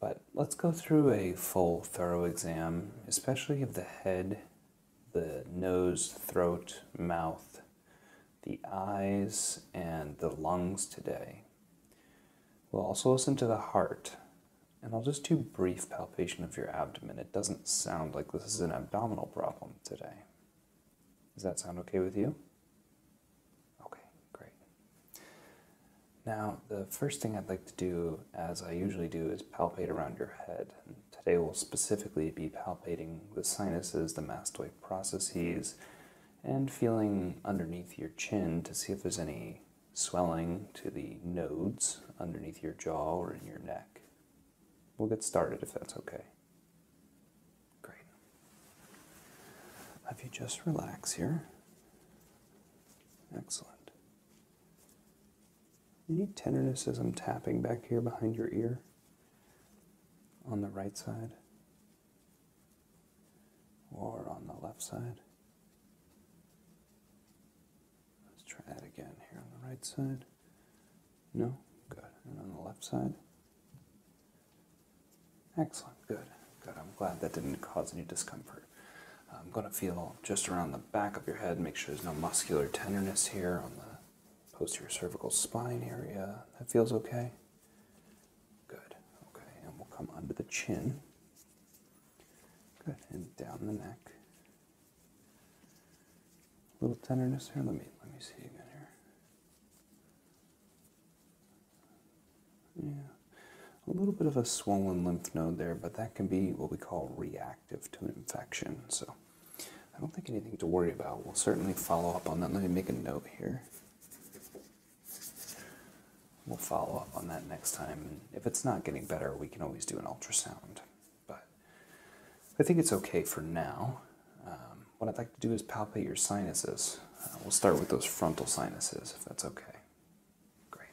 But let's go through a full, thorough exam, especially of the head the nose, throat, mouth, the eyes, and the lungs today. We'll also listen to the heart. And I'll just do brief palpation of your abdomen. It doesn't sound like this is an abdominal problem today. Does that sound okay with you? Okay, great. Now, the first thing I'd like to do as I usually do, is palpate around your head. today we'll specifically be palpating the sinuses, the mastoid processes, and feeling underneath your chin to see if there's any swelling to the nodes underneath your jaw or in your neck. We'll get started if that's okay. Great. Have you just relax here? Excellent. Any tenderness as I'm tapping back here behind your ear on the right side or on the left side? Let's try that again here on the right side. No? Good. And on the left side? Excellent. Good. Good. I'm glad that didn't cause any discomfort. I'm going to feel just around the back of your head, make sure there's no muscular tenderness here on the posterior cervical spine area. That feels okay? Good. Okay, and we'll come under the chin. Good, and down the neck. A little tenderness here. Let me let me see again here. Yeah, a little bit of a swollen lymph node there, but that can be what we call reactive reactive to an infection. So I don't think anything to worry about. We'll certainly follow up on that. Let me make a note here. We'll follow up on that next time. if it's not getting better, we can always do an ultrasound. But I think it's okay for now. Um, what I'd like to do is palpate your sinuses. Uh, we'll start with those frontal sinuses, if that's okay. Great.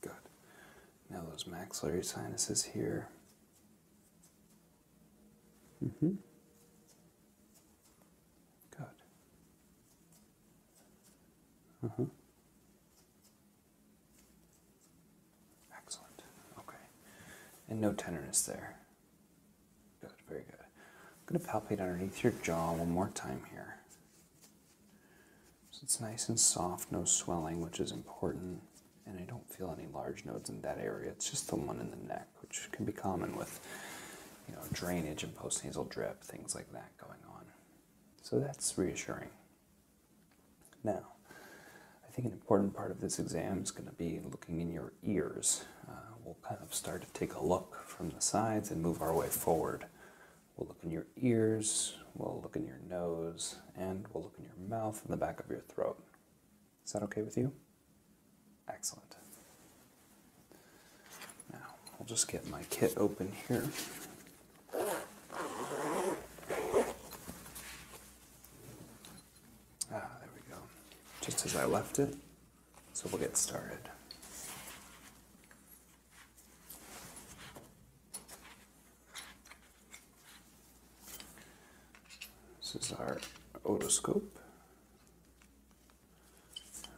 Good. Now those maxillary sinuses here. hmm Good. uh Excellent. Okay. And no tenderness there. Good, very good. I'm going to palpate underneath your jaw one more time here. So it's nice and soft, no swelling, which is important. And I don't feel any large nodes in that area. It's just the one in the neck, which can be common with, you know, drainage and postnasal drip, things like that going on. So that's reassuring. Now, I think an important part of this exam is going to be looking in your ears. Uh, we'll kind of start to take a look from the sides and move our way forward. We'll look in your ears, we'll look in your nose, and we'll look in your mouth and the back of your throat. Is that okay with you? Excellent. Now, I'll just get my kit open here. Ah, there we go. Just as I left it. So we'll get started. This is our otoscope.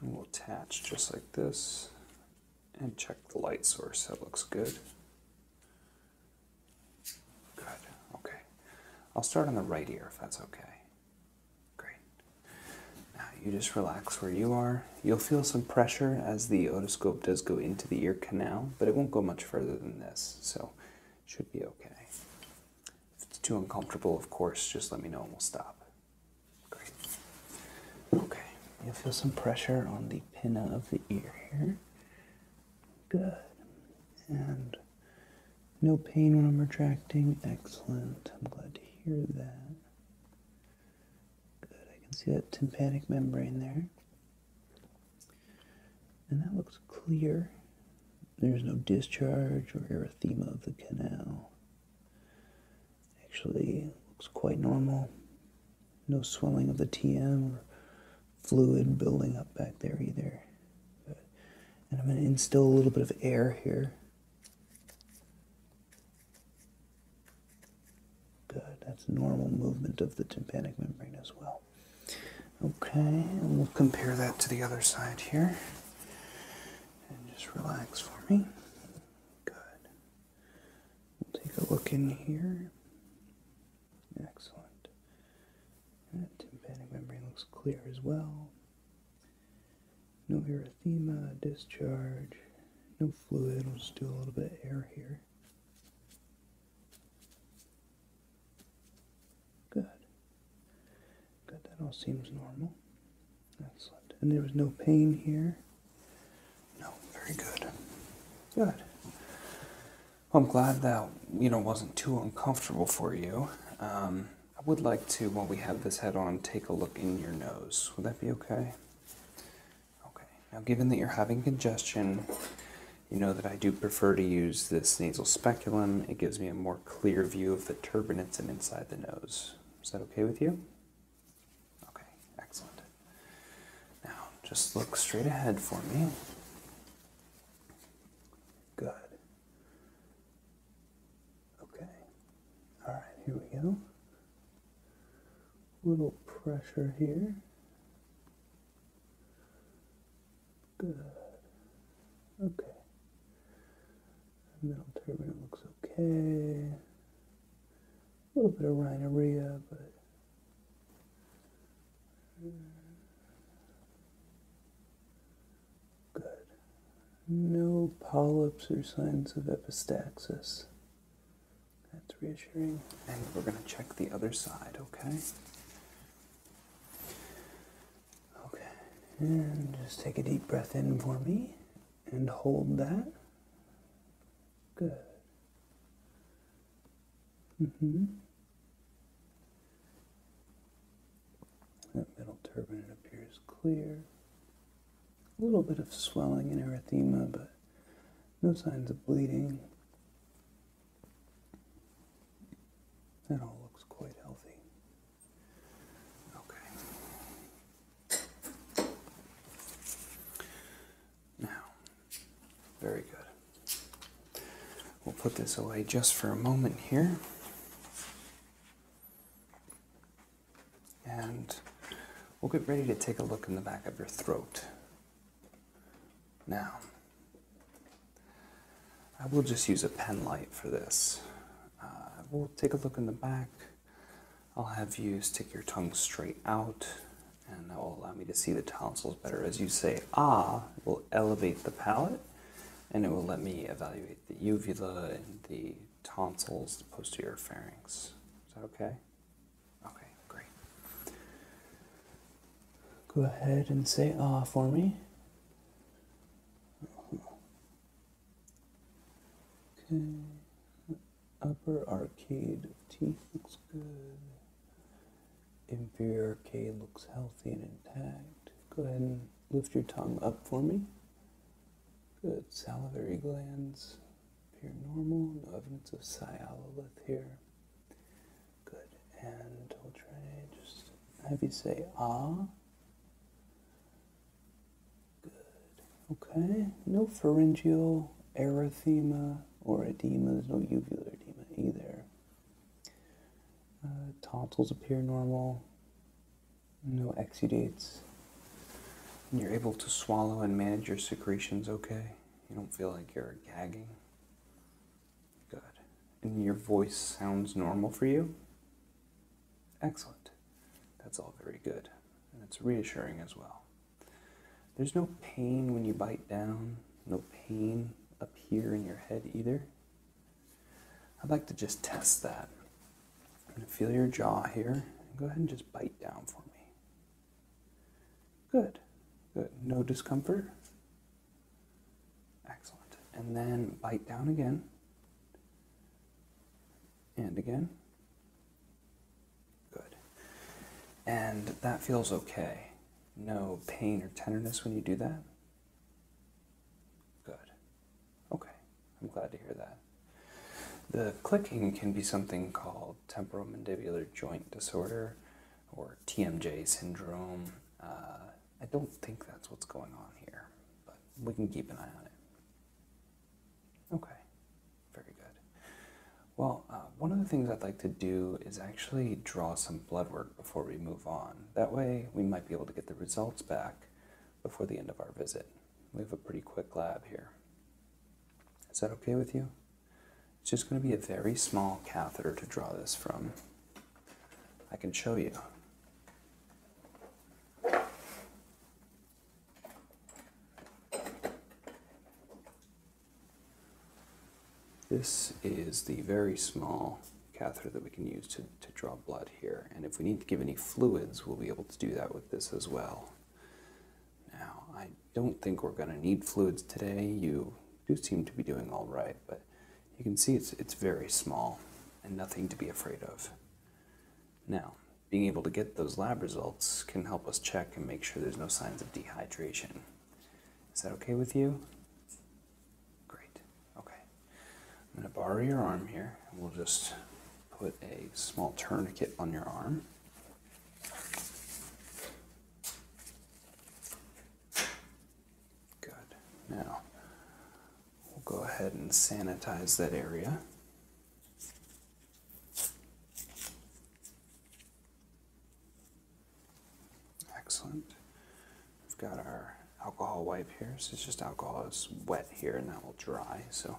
And we'll attach just like this and check the light source. That looks good. Good. Okay. I'll start on the right ear if that's okay. Great. Now you just relax where you are. You'll feel some pressure as the otoscope does go into the ear canal, but it won't go much further than this, so it should be okay. If it's too uncomfortable, of course, just let me know and we'll stop. Great. Okay. You'll feel some pressure on the pinna of the ear here. Good. And no pain when I'm retracting. Excellent. I'm glad to hear that. Good. I can see that tympanic membrane there. And that looks clear. There's no discharge or erythema of the canal. Actually, looks quite normal no swelling of the TM or fluid building up back there either. And I'm going to instill a little bit of air here. Good, that's normal movement of the tympanic membrane as well. Okay, and we'll compare that to the other side here. And just relax for me. Good. We'll take a look in here. Excellent. And that tympanic membrane looks clear as well. No erythema, discharge, no fluid. We'll just do a little bit of air here. Good. Good, that all seems normal. Excellent. And there was no pain here? No, very good. Good. I'm glad that you know wasn't too uncomfortable for you. Um, I would like to, while we have this head on, take a look in your nose. Would that be okay? Okay. Now, given that you're having congestion, you know that I do prefer to use this nasal speculum. It gives me a more clear view of the turbinates and inside the nose. Is that okay with you? Okay, excellent. Now, just look straight ahead for me. Good. Okay. All right, here we go. Little pressure here. Good. Okay. Middle turbine looks okay. A little bit of rhinorrhea, but Good. No polyps or signs of epistaxis. That's reassuring. And we're going to check the other side, okay? Okay. And just take a deep breath in for me and hold that. Good. Mm -hmm. That middle turbine appears clear. A little bit of swelling and erythema, but no signs of bleeding. That all looks quite healthy. Okay. Now, very good. We'll put this away just for a moment here. And we'll get ready to take a look in the back of your throat. Now, I will just use a pen light for this. Uh, we'll take a look in the back. I'll have you stick your tongue straight out and that will allow me to see the tonsils better. As you say ah, will elevate the palate and it will let me evaluate the uvula and the tonsils, the posterior pharynx. Is that okay? Okay, great. Go ahead and say ah for me. Okay, upper arcade of teeth looks good inferior arcade looks healthy and intact. Go ahead and lift your tongue up for me. Good. Salivary glands appear normal. No evidence of sialolith here. Good. And we'll try just have you say ah. Good. Okay. No pharyngeal erythema or edema. There's no uvular edema either. Uh, tonsils appear normal, no exudates, you're able to swallow and manage your secretions okay. You don't feel like you're gagging. Good. And your voice sounds normal for you? Excellent. That's all very good. And it's reassuring as well. There's no pain when you bite down, no pain up here in your head either. I'd like to just test that. I'm going to feel your jaw here. Go ahead and just bite down for me. Good. Good. No discomfort. Excellent. And then bite down again. And again. Good. And that feels okay no pain or tenderness when you do that? Good. Okay, I'm glad to hear that. The clicking can be something called temporal mandibular joint disorder or TMJ syndrome. Uh, I don't think that's what's going on here, but we can keep an eye on it. Okay, very good. Well, uh, one of the things I'd like to do is actually draw some blood work before we move on. That way, we might be able to get the results back before the end of our visit. We have a pretty quick lab here. Is that okay with you? It's just going to be a very small catheter to draw this from. I can show you. This is the very small catheter that we can use to, draw blood here. And if we need to give any fluids, we'll be able to do that with this as well. Now, I don't think we're going to need fluids today. You do seem to be doing all right, but you can see it's very small and nothing to be afraid of. Now, being able to get those lab results can help us check and make sure there's no signs of dehydration. Is that okay with you? Great. Okay. I'm going to borrow your arm here. We'll just put a small tourniquet on your arm. Good. Now, we'll go ahead and sanitize that area. Excellent. We've got our alcohol wipe here. So it's just alcohol is wet here and that will dry. So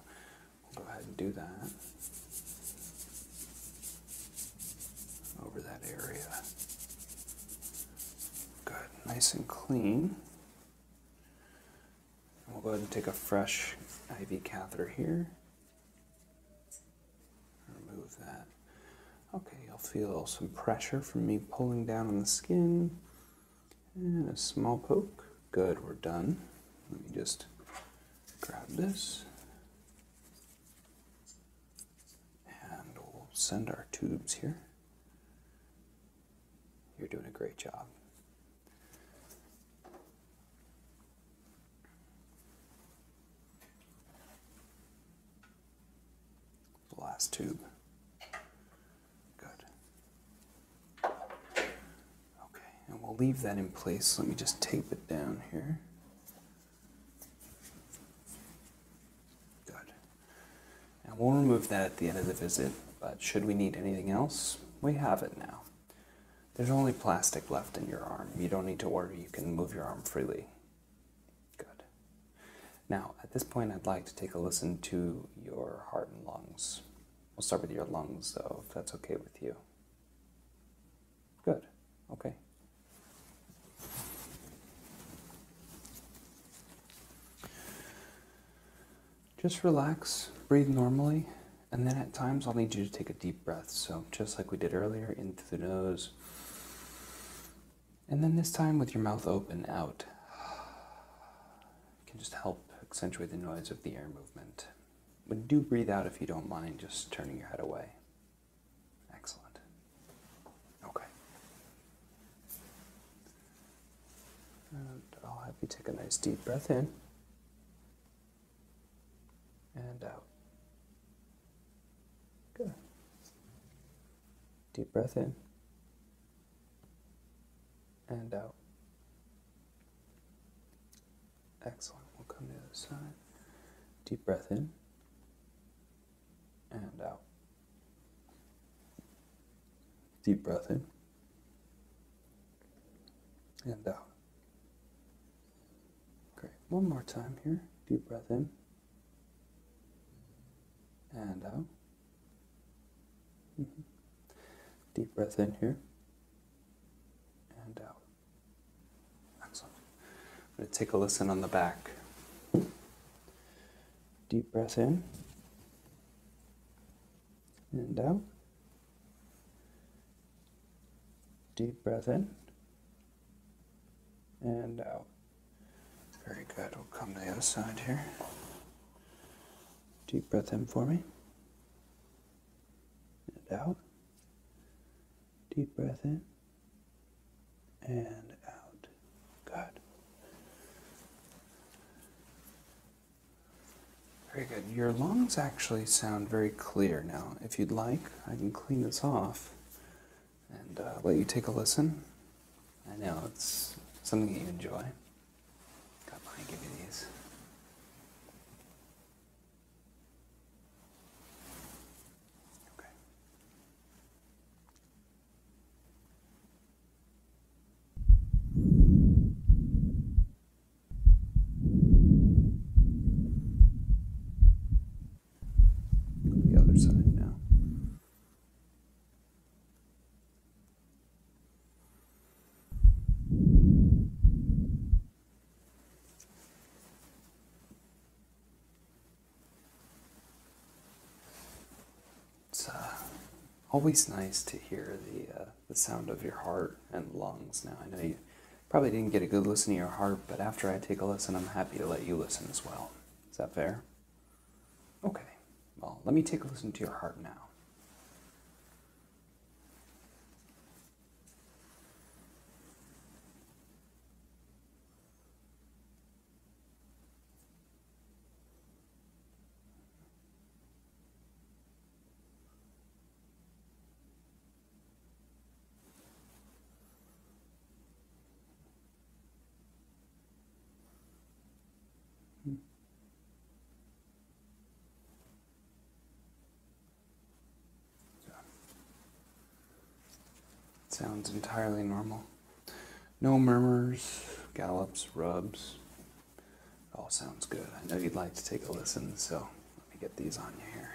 we'll go ahead and do that over that area. Good, nice and clean. we'll go ahead and take a fresh IV catheter here. Remove that. Okay, you'll feel some pressure from me pulling down on the skin. And a small poke. Good, we're done. Let me just grab this. And we'll send our tubes here. You're doing a great job. The last tube. Good. Okay, and we'll leave that in place. Let me just tape it down here. Good. And we'll remove that at the end of the visit, but should we need anything else, we have it now. There's only plastic left in your arm. You don't need to worry, you can move your arm freely. Good. Now, at this point, I'd like to take a listen to your heart and lungs. We'll start with your lungs, though, if that's okay with you. Good. Okay. Just relax, breathe normally, and then at times I'll need you to take a deep breath. So, just like we did earlier, into the nose and then this time with your mouth open, out. It can just help accentuate the noise of the air movement. But do breathe out if you don't mind just turning your head away. Excellent. Okay. I'll have you take a nice deep breath in and out. Good. Deep breath in and out. Excellent. We'll come to the other side. Deep breath in and out. Deep breath in and out. Great. One more time here. Deep breath in and out. Uh, mhm. Deep breath in here and out. Excellent. I'm going to take a listen on the back. Deep breath in and out. Deep breath in and out. Uh, very good. We'll come to the other side here. Deep breath in for me. And out. Deep breath in. And out. Good. Very good. Your lungs actually sound very clear now. If you'd like, I can clean this off and uh, let you take a listen. I know it's something that you enjoy. Got mine, give you these. Okay. The other side now. It's uh, always nice to hear the, uh, the sound of your heart and lungs. Now, I know you probably didn't get a good listen to your heart, but after I take a listen, I'm happy to let you listen as well. Is that fair? Okay. Well, let me take a listen to your heart now. Hmm. sounds entirely normal. No murmurs, gallops, rubs. all sounds good. I know you'd like to take a listen, so let me get these on you here.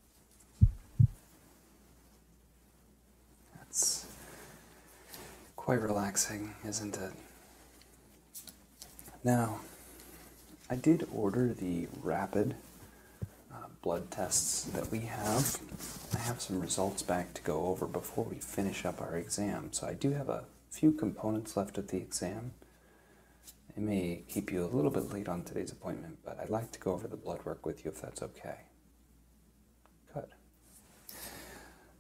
That's quite relaxing, isn't it? Now, I did order the rapid uh, blood tests that we have. I have some results back to go over before we finish up our exam, so I do have a few components left of the exam. It may keep you a little bit late on today's appointment, but I'd like to go over the blood work with you if that's okay cut.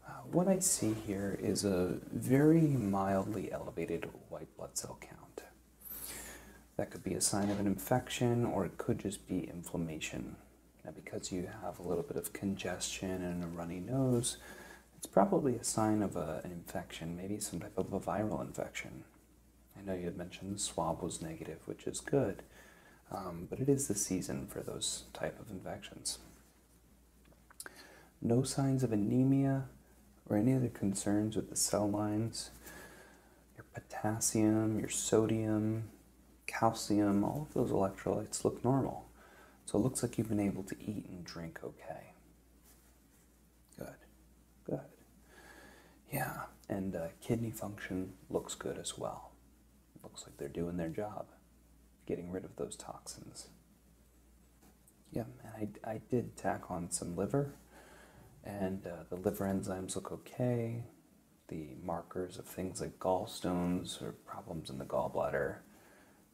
Uh, what I see here is a very mildly elevated white blood cell count. That could be a sign of an infection or it could just be inflammation. Now, because you have a little bit of congestion and a runny nose, it's probably a sign of an infection, maybe some type of a viral infection. I know you had mentioned the swab was negative, which is good, um, but it is the season for those type of infections. No signs of anemia or any other concerns with the cell lines. Your potassium, your sodium, calcium, all of those electrolytes look normal. So it looks like you've been able to eat and drink okay. Good, good. Yeah, and uh, kidney function looks good as well. Looks like they're doing their job, getting rid of those toxins. Yeah, and I, I did tack on some liver, and uh, the liver enzymes look okay. The markers of things like gallstones or problems in the gallbladder,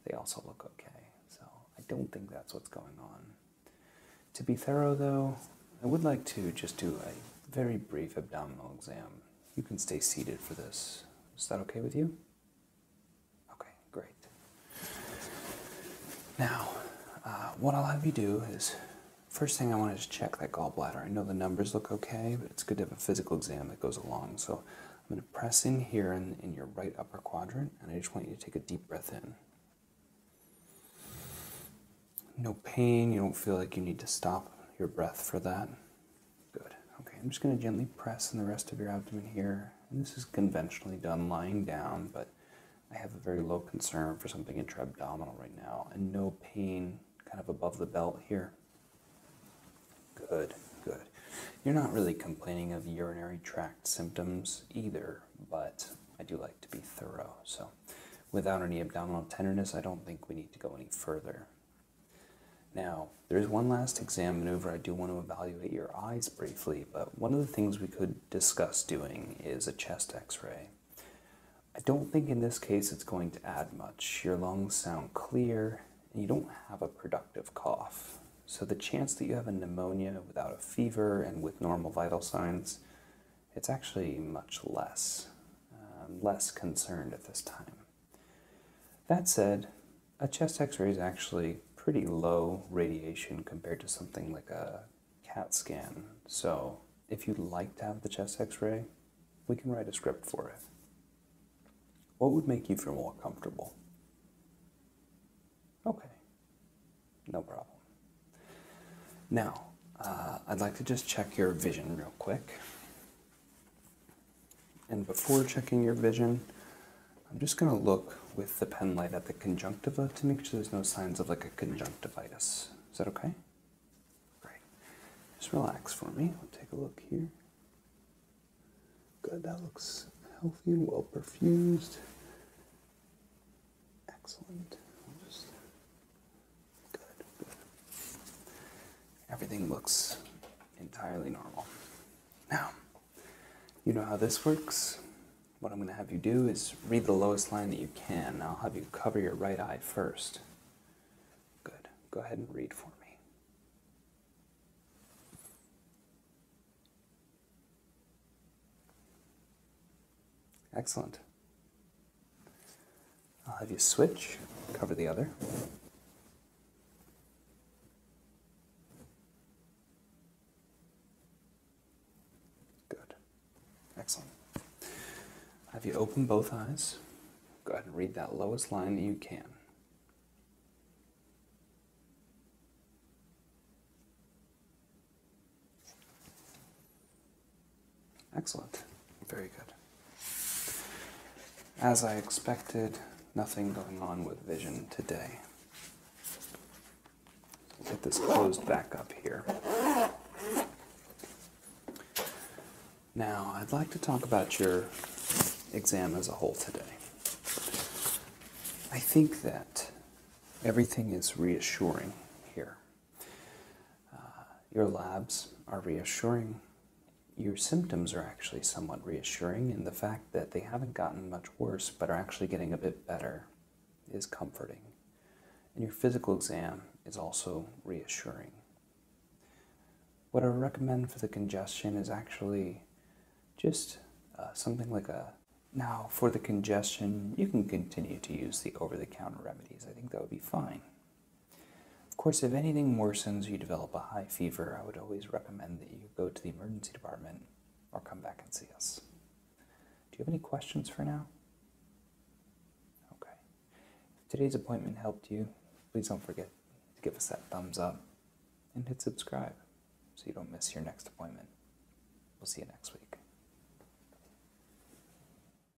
they also look okay. So I don't think that's what's going on. To be thorough, though, I would like to just do a very brief abdominal exam. You can stay seated for this. Is that okay with you? Okay, great. Now, uh, what I'll have you do is first thing I want to just check that gallbladder. I know the numbers look okay, but it's good to have a physical exam that goes along. So I'm going to press in here in, in your right upper quadrant, and I just want you to take a deep breath in. No pain, you don't feel like you need to stop your breath for that. Good. Okay, I'm just going to gently press in the rest of your abdomen here. And this is conventionally done lying down, but I have a very low concern for something intra abdominal right now, and no pain kind of above the belt here. Good, good. You're not really complaining of urinary tract symptoms either, but I do like to be thorough, so without any abdominal tenderness, I don't think we need to go any further. Now, there is one last exam maneuver. I do want to evaluate your eyes briefly, but one of the things we could discuss doing is a chest x ray. I don't think in this case it's going to add much. Your lungs sound clear, and you don't have a productive cough. So, the chance that you have a pneumonia without a fever and with normal vital signs it's actually much less, um, less concerned at this time. That said, a chest x ray is actually pretty low radiation compared to something like a CAT scan. So, if you'd like to have the chest x ray, we can write a script for it. What would make you feel more comfortable? Okay, no problem. Now, uh, I'd like to just check your vision real quick. And before checking your vision, I'm just going to look with the pen light at the conjunctiva to make sure there's no signs of like a conjunctivitis. Is that okay? Great. Just relax for me. We'll take a look here. Good. That looks healthy and well perfused. Excellent. Good, Everything looks entirely normal. Now, you know how this works. What I'm going to have you do is read the lowest line that you can. I'll have you cover your right eye first. Good. Go ahead and read for me. Excellent. I'll have you switch, cover the other. Good. Excellent. have you open both eyes. Go ahead and read that lowest line that you can. Excellent. Very good. As I expected, nothing going on with vision today. Get this closed back up here. Now, I'd like to talk about your exam as a whole today. I think that everything is reassuring here. Uh, your labs are reassuring. Your symptoms are actually somewhat reassuring, and the fact that they haven't gotten much worse but are actually getting a bit better is comforting. And your physical exam is also reassuring. What I recommend for the congestion is actually just uh, something like a now, for the congestion, you can continue to use the over the counter remedies. I think that would be fine. Of course, if anything worsens, you develop a high fever, I would always recommend that you go to the emergency department or come back and see us. Do you have any questions for now? Okay. If today's appointment helped you, please don't forget to give us that thumbs up and hit subscribe so you don't miss your next appointment. We'll see you next week.